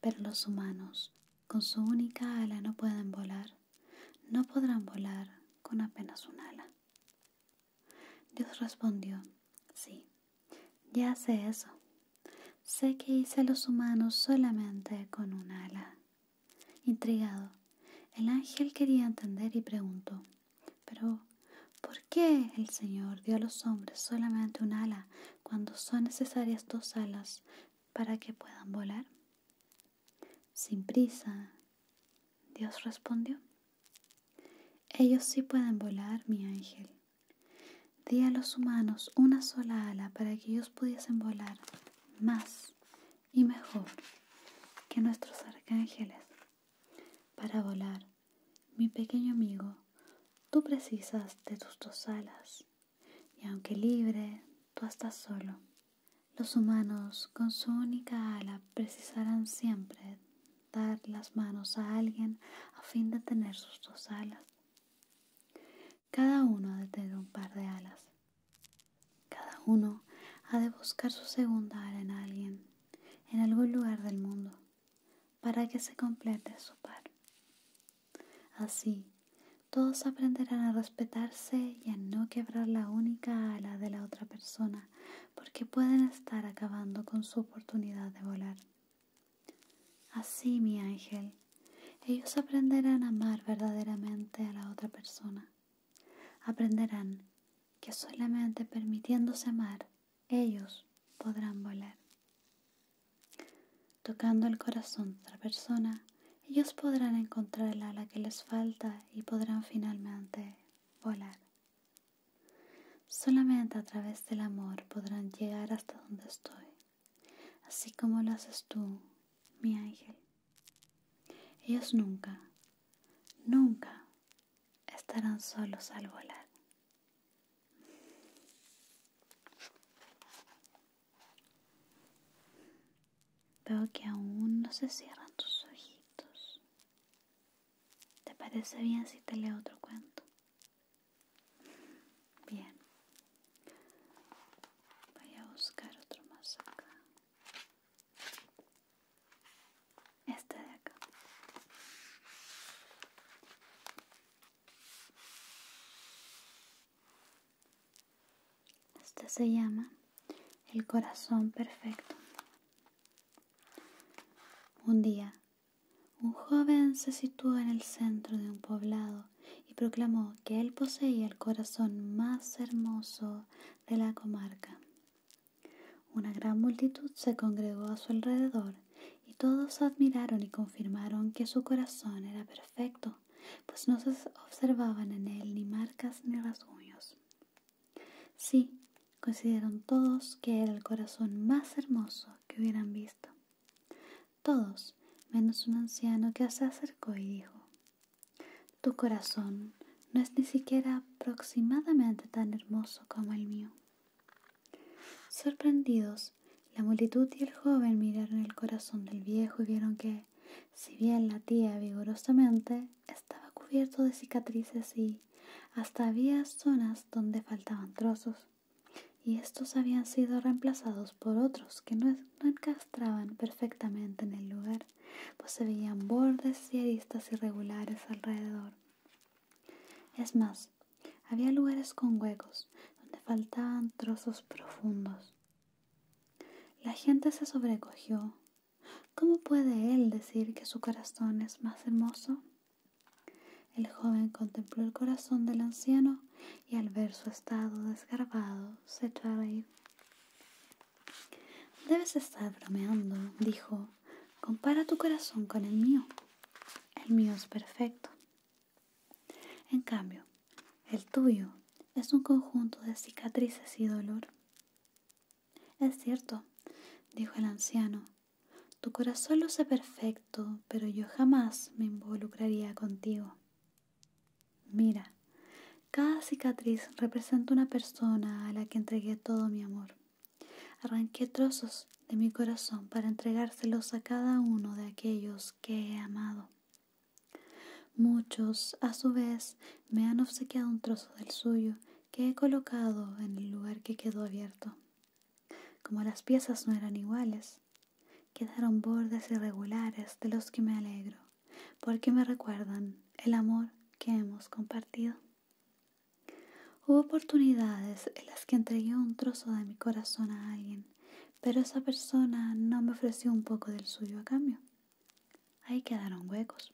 Pero los humanos, con su única ala, no pueden volar. No podrán volar con apenas un ala. Dios respondió, sí, ya sé eso. Sé que hice a los humanos solamente con un ala. Intrigado, el ángel quería entender y preguntó, pero, ¿por qué el Señor dio a los hombres solamente una ala cuando son necesarias dos alas para que puedan volar? Sin prisa, Dios respondió. Ellos sí pueden volar, mi ángel. Di a los humanos una sola ala para que ellos pudiesen volar más y mejor que nuestros arcángeles para volar mi pequeño amigo, tú precisas de tus dos alas, y aunque libre, tú estás solo. Los humanos con su única ala precisarán siempre dar las manos a alguien a fin de tener sus dos alas. Cada uno ha de tener un par de alas. Cada uno ha de buscar su segunda ala en alguien en algún lugar del mundo para que se complete su par. Así, todos aprenderán a respetarse y a no quebrar la única ala de la otra persona porque pueden estar acabando con su oportunidad de volar. Así, mi ángel, ellos aprenderán a amar verdaderamente a la otra persona. Aprenderán que solamente permitiéndose amar ellos podrán volar. Tocando el corazón de otra persona, ellos podrán encontrar la ala que les falta y podrán finalmente volar. Solamente a través del amor podrán llegar hasta donde estoy, así como lo haces tú, mi ángel. Ellos nunca, nunca estarán solos al volar. Veo que aún no se cierran tus ojitos. ¿Te parece bien si te leo otro cuento? Bien. Voy a buscar otro más acá este de acá este se llama el corazón perfecto un día un joven se situó en el centro de un poblado y proclamó que él poseía el corazón más hermoso de la comarca. Una gran multitud se congregó a su alrededor y todos admiraron y confirmaron que su corazón era perfecto, pues no se observaban en él ni marcas ni rasguños. Sí, consideraron todos que era el corazón más hermoso que hubieran visto. Todos, menos un anciano que se acercó y dijo, Tu corazón no es ni siquiera aproximadamente tan hermoso como el mío. Sorprendidos, la multitud y el joven miraron el corazón del viejo y vieron que, si bien latía vigorosamente, estaba cubierto de cicatrices y hasta había zonas donde faltaban trozos, y estos habían sido reemplazados por otros que no, encastraban perfectamente en el lugar, pues se veían bordes y aristas irregulares alrededor. Es más, había lugares con huecos donde faltaban trozos profundos. La gente se sobrecogió. ¿Cómo puede él decir que su corazón es más hermoso? El joven contempló el corazón del anciano y al ver su estado desgarbado se echó a reír. Debes estar bromeando, dijo compara tu corazón con el mío. El mío es perfecto. En cambio, el tuyo es un conjunto de cicatrices y dolor. Es cierto, dijo el anciano, tu corazón lo sé perfecto, pero yo jamás me involucraría contigo. Mira, cada cicatriz representa una persona a la que entregué todo mi amor. Arranqué trozos de mi corazón para entregárselos a cada uno de aquellos que he amado. Muchos, a su vez, me han obsequiado un trozo del suyo que he colocado en el lugar que quedó abierto. Como las piezas no eran iguales, quedaron bordes irregulares de los que me alegro, porque me recuerdan el amor que hemos compartido. Hubo oportunidades en las que entregué un trozo de mi corazón a alguien, pero esa persona no me ofreció un poco del suyo a cambio. Ahí quedaron huecos.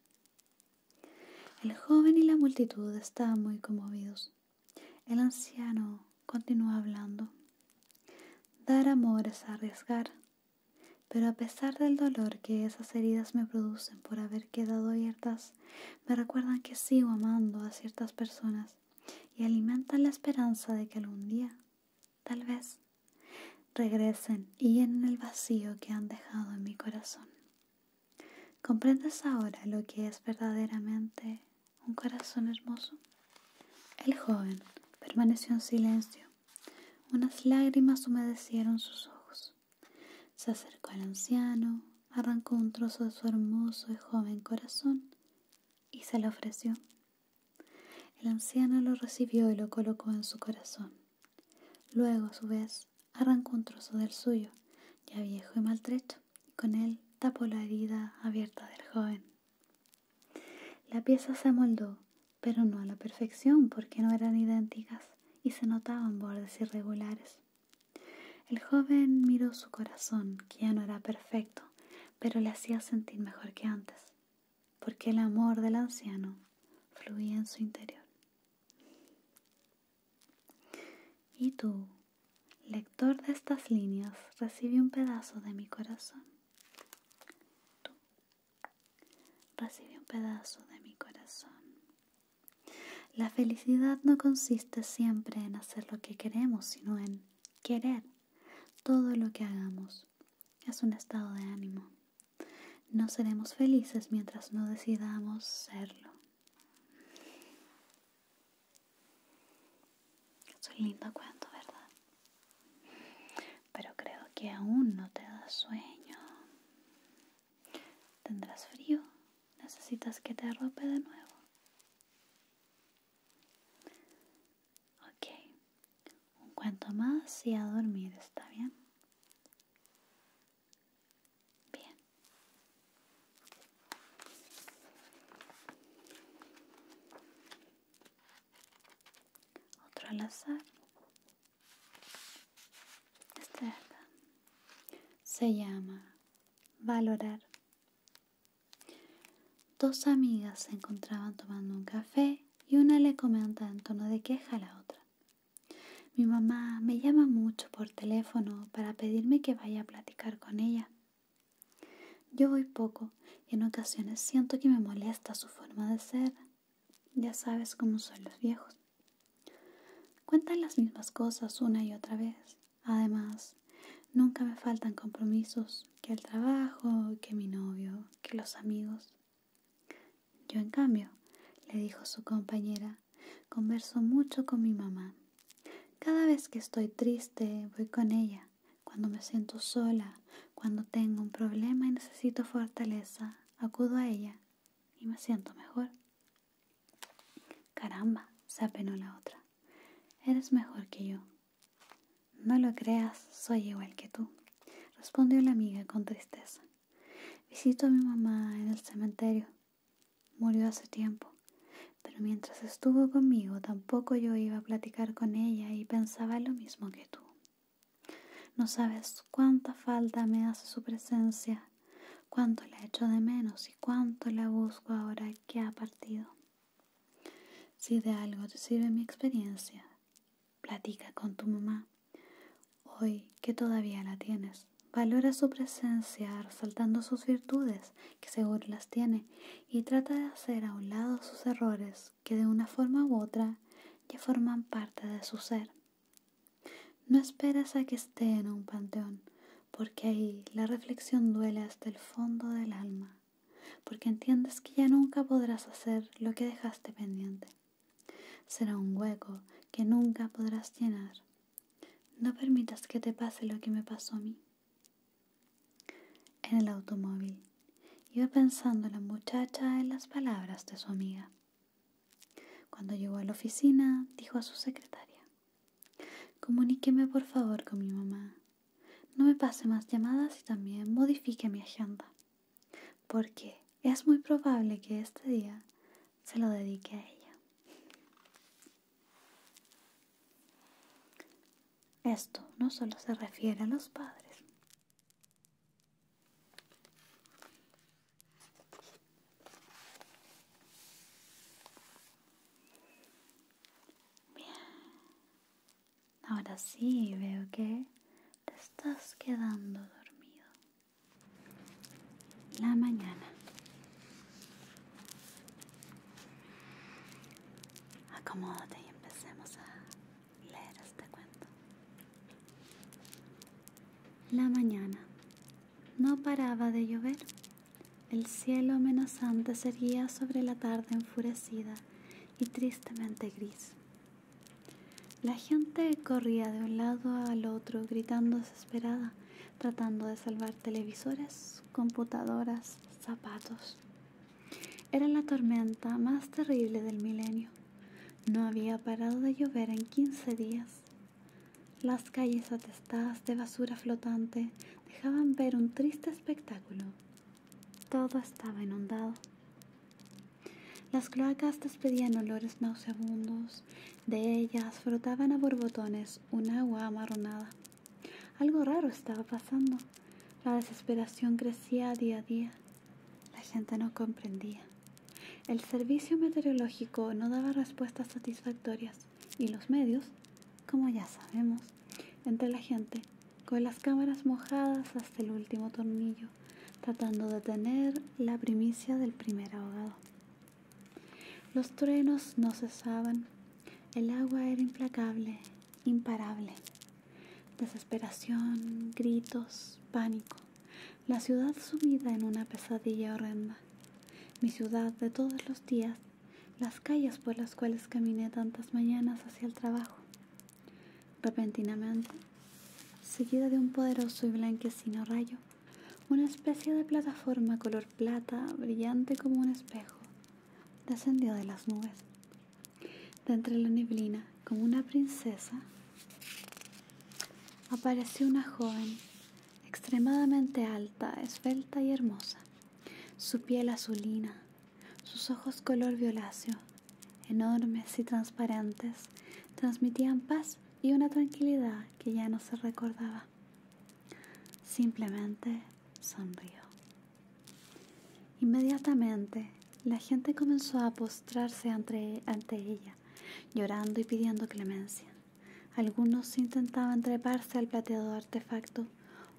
El joven y la multitud estaban muy conmovidos. El anciano continuó hablando. Dar amor es arriesgar, pero a pesar del dolor que esas heridas me producen por haber quedado abiertas me recuerdan que sigo amando a ciertas personas y alimentan la esperanza de que algún día, tal vez, regresen y llenen el vacío que han dejado en mi corazón. ¿Comprendes ahora lo que es verdaderamente un corazón hermoso? El joven permaneció en silencio. Unas lágrimas humedecieron sus ojos. Se acercó al anciano, arrancó un trozo de su hermoso y joven corazón y se lo ofreció. El anciano lo recibió y lo colocó en su corazón. Luego, a su vez, arrancó un trozo del suyo, ya viejo y maltrecho, y con él tapó la herida abierta del joven. La pieza se amoldó, pero no a la perfección porque no eran idénticas y se notaban bordes irregulares. El joven miró su corazón, que ya no era perfecto, pero le hacía sentir mejor que antes, porque el amor del anciano fluía en su interior. Y tú, lector de estas líneas, recibí un pedazo de mi corazón. Tú, un pedazo de mi corazón. La felicidad no consiste siempre en hacer lo que queremos, sino en querer todo lo que hagamos. Es un estado de ánimo. No seremos felices mientras no decidamos serlo. Es un lindo cuento, ¿verdad? Pero creo que aún no te da sueño. ¿Tendrás frío? ¿Necesitas que te arrope de nuevo? Ok, un cuento más y a dormir, ¿está bien? Bien. Otro al azar. Este se llama Valorar. Dos amigas se encontraban tomando un café y una le comenta en tono de queja a la otra. Mi mamá me llama mucho por teléfono para pedirme que vaya a platicar con ella. Yo voy poco y en ocasiones siento que me molesta su forma de ser. Ya sabes cómo son los viejos. Cuentan las mismas cosas una y otra vez. Además, nunca me faltan compromisos, que el trabajo, que mi novio, que los amigos. Yo, en cambio, le dijo su compañera, converso mucho con mi mamá. Cada vez que estoy triste, voy con ella. Cuando me siento sola, cuando tengo un problema y necesito fortaleza, acudo a ella y me siento mejor. Caramba, se apenó la otra. Eres mejor que yo. No lo creas, soy igual que tú, respondió la amiga con tristeza. Visito a mi mamá en el cementerio. Murió hace tiempo, pero mientras estuvo conmigo tampoco yo iba a platicar con ella y pensaba lo mismo que tú. No sabes cuánta falta me hace su presencia cuánto la echo de menos y cuánto la busco ahora que ha partido. Si de algo te sirve mi experiencia, platica con tu mamá. Hoy que todavía la tienes, valora su presencia resaltando sus virtudes, que seguro las tiene, y trata de hacer a un lado sus errores, que de una forma u otra ya forman parte de su ser. No esperas a que esté en un panteón, porque ahí la reflexión duele hasta el fondo del alma, porque entiendes que ya nunca podrás hacer lo que dejaste pendiente. Será un hueco que nunca podrás llenar. No permitas que te pase lo que me pasó a mí. En el automóvil, iba pensando la muchacha en las palabras de su amiga. Cuando llegó a la oficina, dijo a su secretaria, Comuníqueme por favor con mi mamá. No me pase más llamadas y también modifique mi agenda, porque es muy probable que este día se lo dedique a ella. Esto no solo se refiere a los padres. Bien, ahora sí veo que te estás quedando dormido. La mañana. Acomódate y empecemos a leer este cuento. La mañana. No paraba de llover el cielo amenazante seguía sobre la tarde enfurecida y tristemente gris. La gente corría de un lado al otro gritando desesperada, tratando de salvar televisores, computadoras, zapatos. Era la tormenta más terrible del milenio. No había parado de llover en quince días. Las calles atestadas de basura flotante dejaban ver un triste espectáculo. Todo estaba inundado. Las cloacas despedían olores nauseabundos. De ellas frotaban a borbotones un agua amarronada. Algo raro estaba pasando. La desesperación crecía día a día. La gente no comprendía. El servicio meteorológico no daba respuestas satisfactorias y los medios, como ya sabemos, entre la gente, con las cámaras mojadas hasta el último tornillo, tratando de tener la primicia del primer ahogado. Los truenos no cesaban, el agua era implacable, imparable. Desesperación, gritos, pánico, la ciudad sumida en una pesadilla horrenda mi ciudad de todos los días, las calles por las cuales caminé tantas mañanas hacia el trabajo. Repentinamente, seguida de un poderoso y blanquecino rayo, una especie de plataforma color plata, brillante como un espejo, descendió de las nubes. De entre la neblina, como una princesa, apareció una joven extremadamente alta, esbelta y hermosa, su piel azulina, sus ojos color violáceo, enormes y transparentes, transmitían paz y una tranquilidad que ya no se recordaba. Simplemente sonrió. Inmediatamente, la gente comenzó a postrarse ante, ante ella, llorando y pidiendo clemencia. Algunos intentaban treparse al plateado artefacto,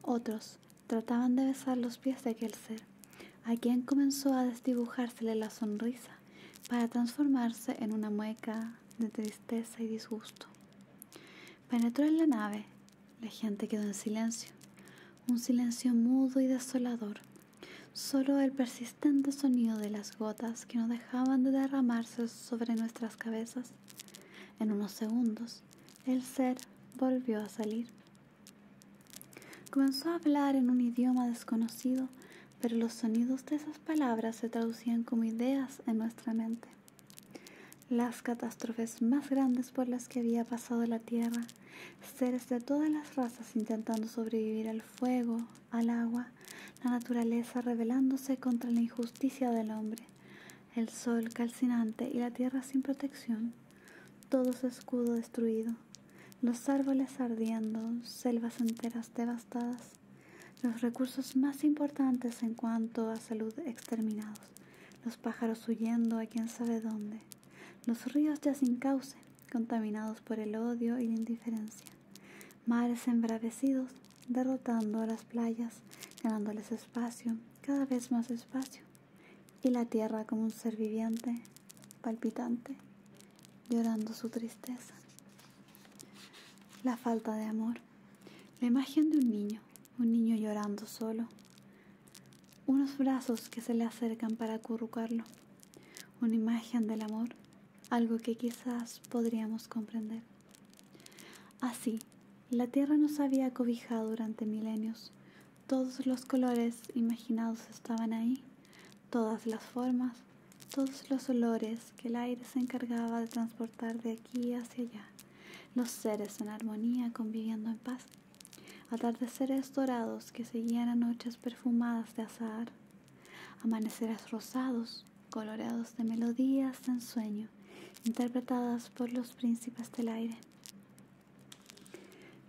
otros trataban de besar los pies de aquel ser, a quien comenzó a desdibujársele la sonrisa para transformarse en una mueca de tristeza y disgusto. Penetró en la nave, la gente quedó en silencio, un silencio mudo y desolador. Solo el persistente sonido de las gotas que no dejaban de derramarse sobre nuestras cabezas en unos segundos, el ser volvió a salir. Comenzó a hablar en un idioma desconocido, pero los sonidos de esas palabras se traducían como ideas en nuestra mente. Las catástrofes más grandes por las que había pasado la Tierra, seres de todas las razas intentando sobrevivir al fuego, al agua, la naturaleza rebelándose contra la injusticia del hombre, el sol calcinante y la tierra sin protección, todo escudo destruido, los árboles ardiendo, selvas enteras devastadas, los recursos más importantes en cuanto a salud exterminados, los pájaros huyendo a quien sabe dónde, los ríos ya sin cauce, contaminados por el odio y la indiferencia, mares embravecidos, derrotando a las playas, ganándoles espacio, cada vez más espacio, y la tierra como un ser viviente, palpitante, llorando su tristeza. La falta de amor, la imagen de un niño, un niño llorando solo, unos brazos que se le acercan para acurrucarlo, una imagen del amor, algo que quizás podríamos comprender. Así, la tierra nos había cobijado durante milenios. Todos los colores imaginados estaban ahí, todas las formas, todos los olores que el aire se encargaba de transportar de aquí hacia allá. Los seres en armonía conviviendo en paz. Atardeceres dorados que seguían a noches perfumadas de azahar. Amaneceres rosados Colorados coloreados de melodías de ensueño, interpretadas por los príncipes del aire.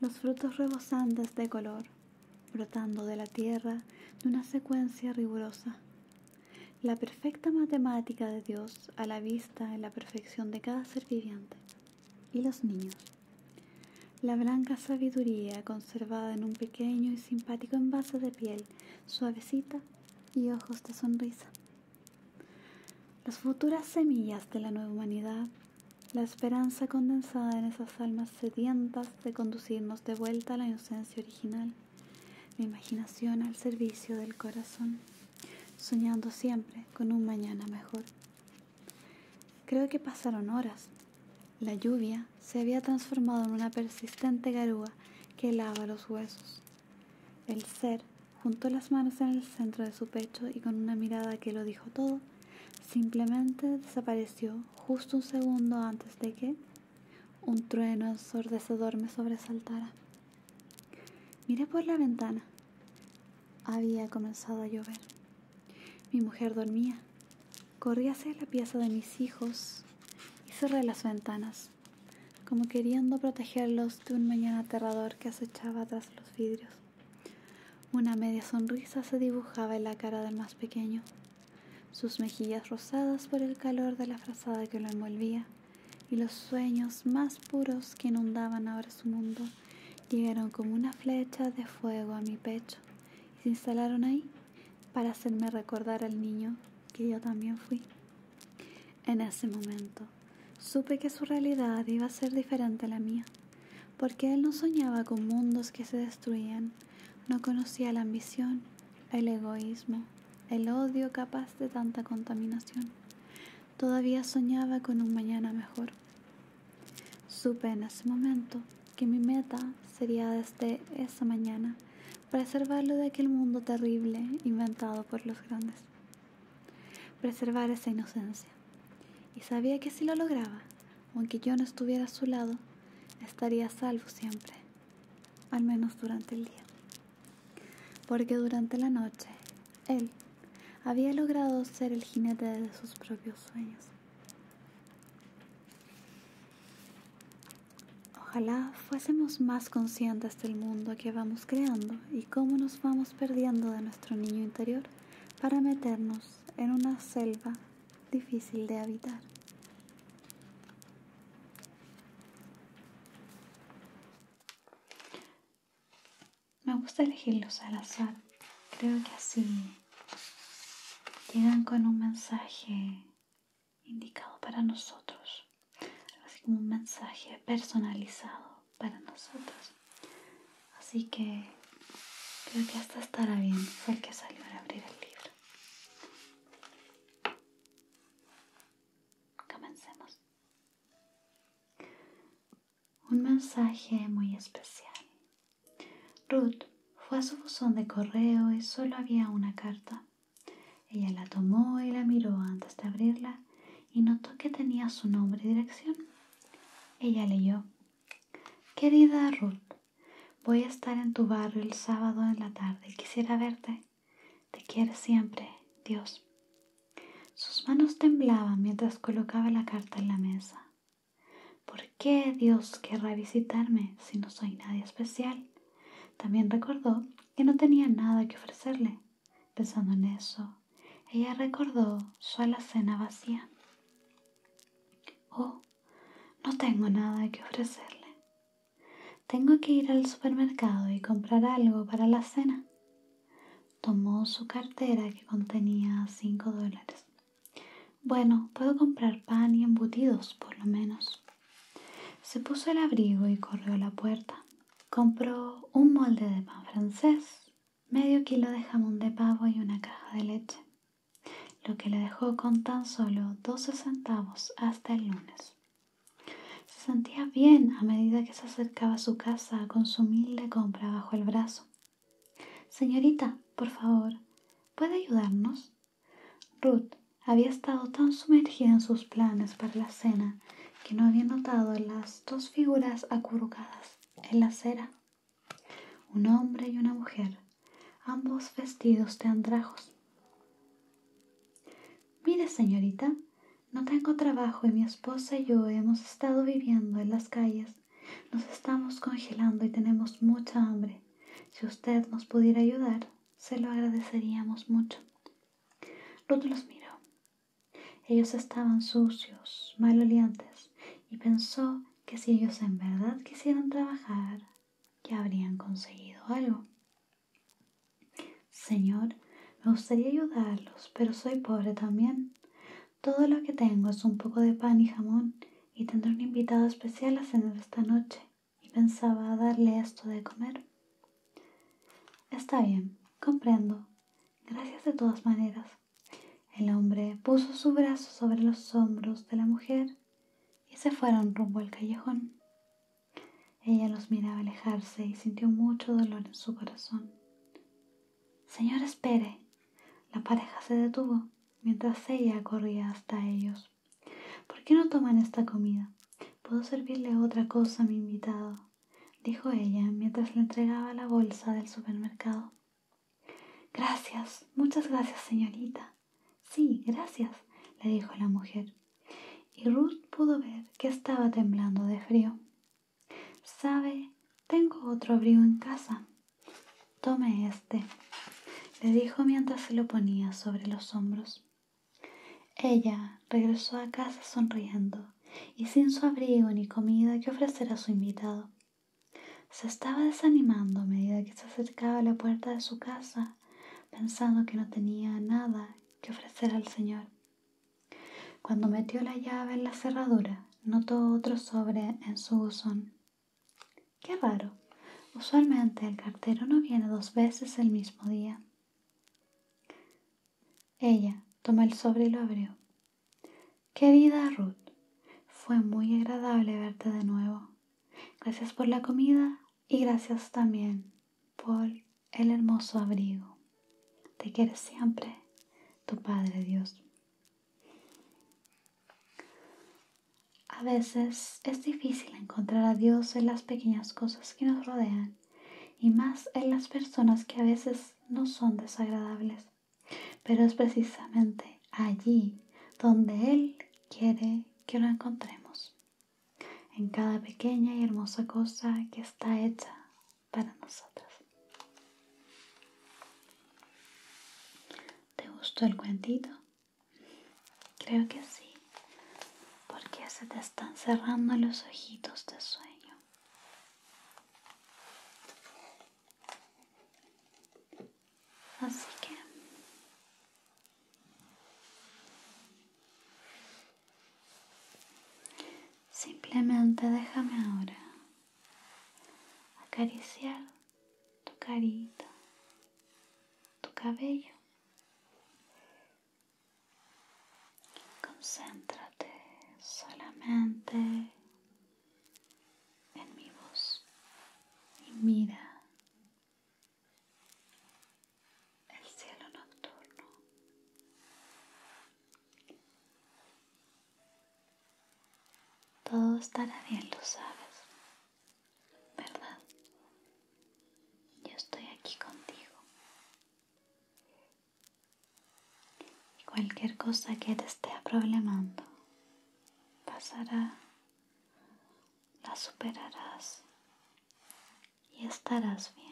Los frutos rebosantes de color, brotando de la tierra de una secuencia rigurosa. La perfecta matemática de Dios a la vista en la perfección de cada ser viviente. Y los niños. La blanca sabiduría conservada en un pequeño y simpático envase de piel, suavecita y ojos de sonrisa. Las futuras semillas de la nueva humanidad, la esperanza condensada en esas almas sedientas de conducirnos de vuelta a la inocencia original, la imaginación al servicio del corazón, soñando siempre con un mañana mejor. Creo que pasaron horas. La lluvia se había transformado en una persistente garúa que lava los huesos. El ser juntó las manos en el centro de su pecho y con una mirada que lo dijo todo, simplemente desapareció justo un segundo antes de que un trueno ensordecedor me sobresaltara. Miré por la ventana. Había comenzado a llover. Mi mujer dormía. Corrí hacia la pieza de mis hijos y cerré las ventanas como queriendo protegerlos de un mañana aterrador que acechaba tras los vidrios. Una media sonrisa se dibujaba en la cara del más pequeño, sus mejillas rosadas por el calor de la frazada que lo envolvía, y los sueños más puros que inundaban ahora su mundo llegaron como una flecha de fuego a mi pecho y se instalaron ahí para hacerme recordar al niño que yo también fui. En ese momento, supe que su realidad iba a ser diferente a la mía, porque él no soñaba con mundos que se destruían, no conocía la ambición, el egoísmo, el odio capaz de tanta contaminación. Todavía soñaba con un mañana mejor. Supe en ese momento que mi meta sería desde esa mañana Preservarlo de aquel mundo terrible inventado por los grandes. Preservar esa inocencia. Y sabía que si lo lograba, aunque yo no estuviera a su lado, estaría salvo siempre, al menos durante el día. Porque durante la noche, él había logrado ser el jinete de sus propios sueños. Ojalá fuésemos más conscientes del mundo que vamos creando y cómo nos vamos perdiendo de nuestro niño interior para meternos en una selva difícil de habitar. Me gusta elegirlos al azar. Creo que así llegan con un mensaje indicado para nosotros, así como un mensaje personalizado para nosotros. Así que creo que hasta estará bien, fue el que salió a abrir el libro. Comencemos. Un mensaje muy especial. Ruth fue a su buzón de correo y solo había una carta. Ella la tomó y la miró antes de abrirla y notó que tenía su nombre y dirección. Ella leyó, Querida Ruth, voy a estar en tu barrio el sábado en la tarde. Quisiera verte. Te quiero siempre, Dios. Sus manos temblaban mientras colocaba la carta en la mesa. ¿Por qué Dios querrá visitarme si no soy nadie especial? También recordó que no tenía nada que ofrecerle. Pensando en eso, ella recordó su alacena vacía. Oh, no tengo nada que ofrecerle. Tengo que ir al supermercado y comprar algo para la cena. Tomó su cartera que contenía cinco dólares. Bueno, puedo comprar pan y embutidos, por lo menos. Se puso el abrigo y corrió a la puerta. Compró un molde de pan francés, medio kilo de jamón de pavo y una caja de leche, lo que le dejó con tan solo 12 centavos hasta el lunes. Se sentía bien a medida que se acercaba a su casa con su humilde compra bajo el brazo. Señorita, por favor, ¿puede ayudarnos? Ruth había estado tan sumergida en sus planes para la cena que no había notado las dos figuras acurrucadas en la acera, un hombre y una mujer, ambos vestidos de andrajos. Mire, señorita, no tengo trabajo y mi esposa y yo hemos estado viviendo en las calles. Nos estamos congelando y tenemos mucha hambre. Si usted nos pudiera ayudar, se lo agradeceríamos mucho. Ruth los miró. Ellos estaban sucios, malolientes, y pensó que si ellos en verdad quisieran trabajar, ya habrían conseguido algo. Señor, me gustaría ayudarlos, pero soy pobre también. Todo lo que tengo es un poco de pan y jamón, y tendré un invitado especial a cenar esta noche y pensaba darle esto de comer. Está bien, comprendo. Gracias de todas maneras. El hombre puso su brazo sobre los hombros de la mujer y se fueron rumbo al callejón. Ella los miraba alejarse y sintió mucho dolor en su corazón. Señor, espere. La pareja se detuvo mientras ella corría hasta ellos. ¿Por qué no toman esta comida? Puedo servirle otra cosa a mi invitado, dijo ella mientras le entregaba la bolsa del supermercado. Gracias, muchas gracias, señorita. Sí, gracias, le dijo la mujer. Y Ruth pudo ver que estaba temblando de frío. Sabe, tengo otro abrigo en casa. Tome este, le dijo mientras se lo ponía sobre los hombros. Ella regresó a casa sonriendo y sin su abrigo ni comida que ofrecer a su invitado. Se estaba desanimando a medida que se acercaba a la puerta de su casa, pensando que no tenía nada que ofrecer al Señor. Cuando metió la llave en la cerradura, notó otro sobre en su buzón. Qué raro. Usualmente el cartero no viene dos veces el mismo día. Ella toma el sobre y lo abrió. Querida Ruth, fue muy agradable verte de nuevo. Gracias por la comida y gracias también por el hermoso abrigo. Te quiere siempre tu Padre Dios. A veces es difícil encontrar a Dios en las pequeñas cosas que nos rodean y más en las personas que a veces no son desagradables. Pero es precisamente allí donde Él quiere que lo encontremos, en cada pequeña y hermosa cosa que está hecha para nosotros. ¿Te gustó el cuentito? Creo que sí, porque se te están cerrando los ojitos de sueño. Así que simplemente déjame ahora acariciar tu carita, tu cabello Concéntrate solamente en mi voz y mira el cielo nocturno. Todo estará bien, lo sabes, ¿verdad? yo estoy aquí contigo. Y cualquier cosa que te esté problemando pasará, la superarás y estarás bien.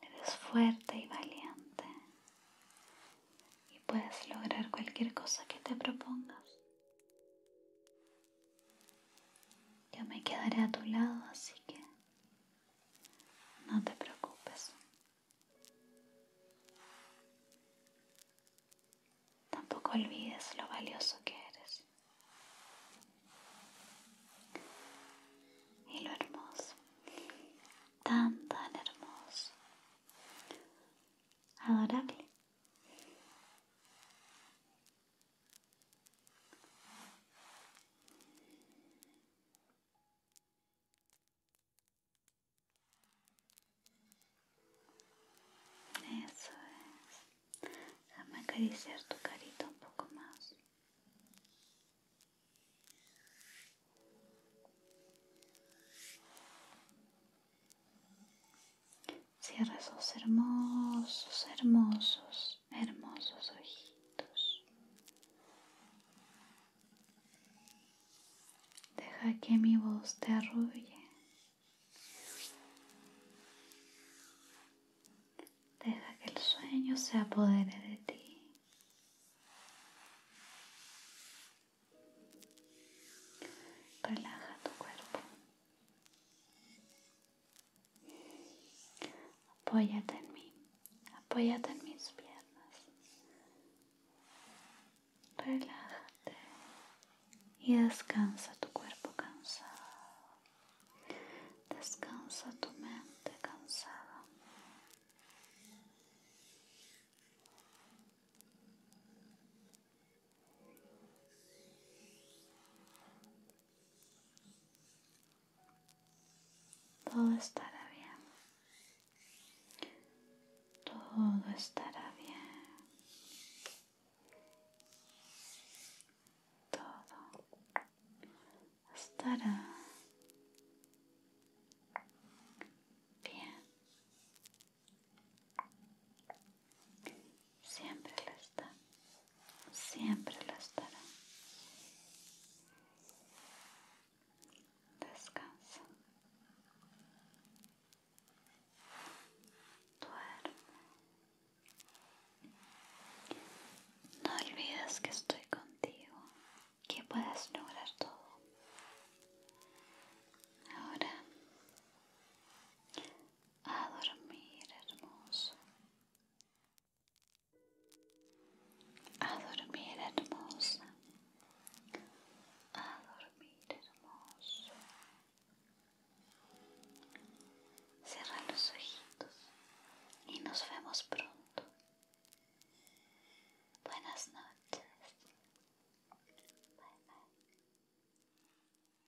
Eres fuerte y valiente y puedes lograr cualquier cosa que te propongas. Yo me quedaré a tu lado, así que no te preocupes. Tampoco olvides lo valioso que eres y lo hermoso, tan, tan hermoso, adorable. Eso es. Déjame acariciar tu carita un poco más. Cierra esos hermosos, hermosos, hermosos ojitos. Deja que mi voz te arrulle. Deja que el sueño se apodere de ti. Relaja tu cuerpo. Apóyate en mí. Apóyate en mis piernas. Relájate y descansa tu cuerpo cansado. Descansa tu mente cansada. Todo estará bien. Todo estará bien. Todo estará bien. Siempre lo está, siempre lo estará. Descansa. Duerme. No olvides que estoy contigo, que puedas lograr todo. Ahora a dormir hermoso, a dormir hermosa, a dormir hermoso. Cierra los ojitos y nos vemos pronto. Buenas noches. Bye bye.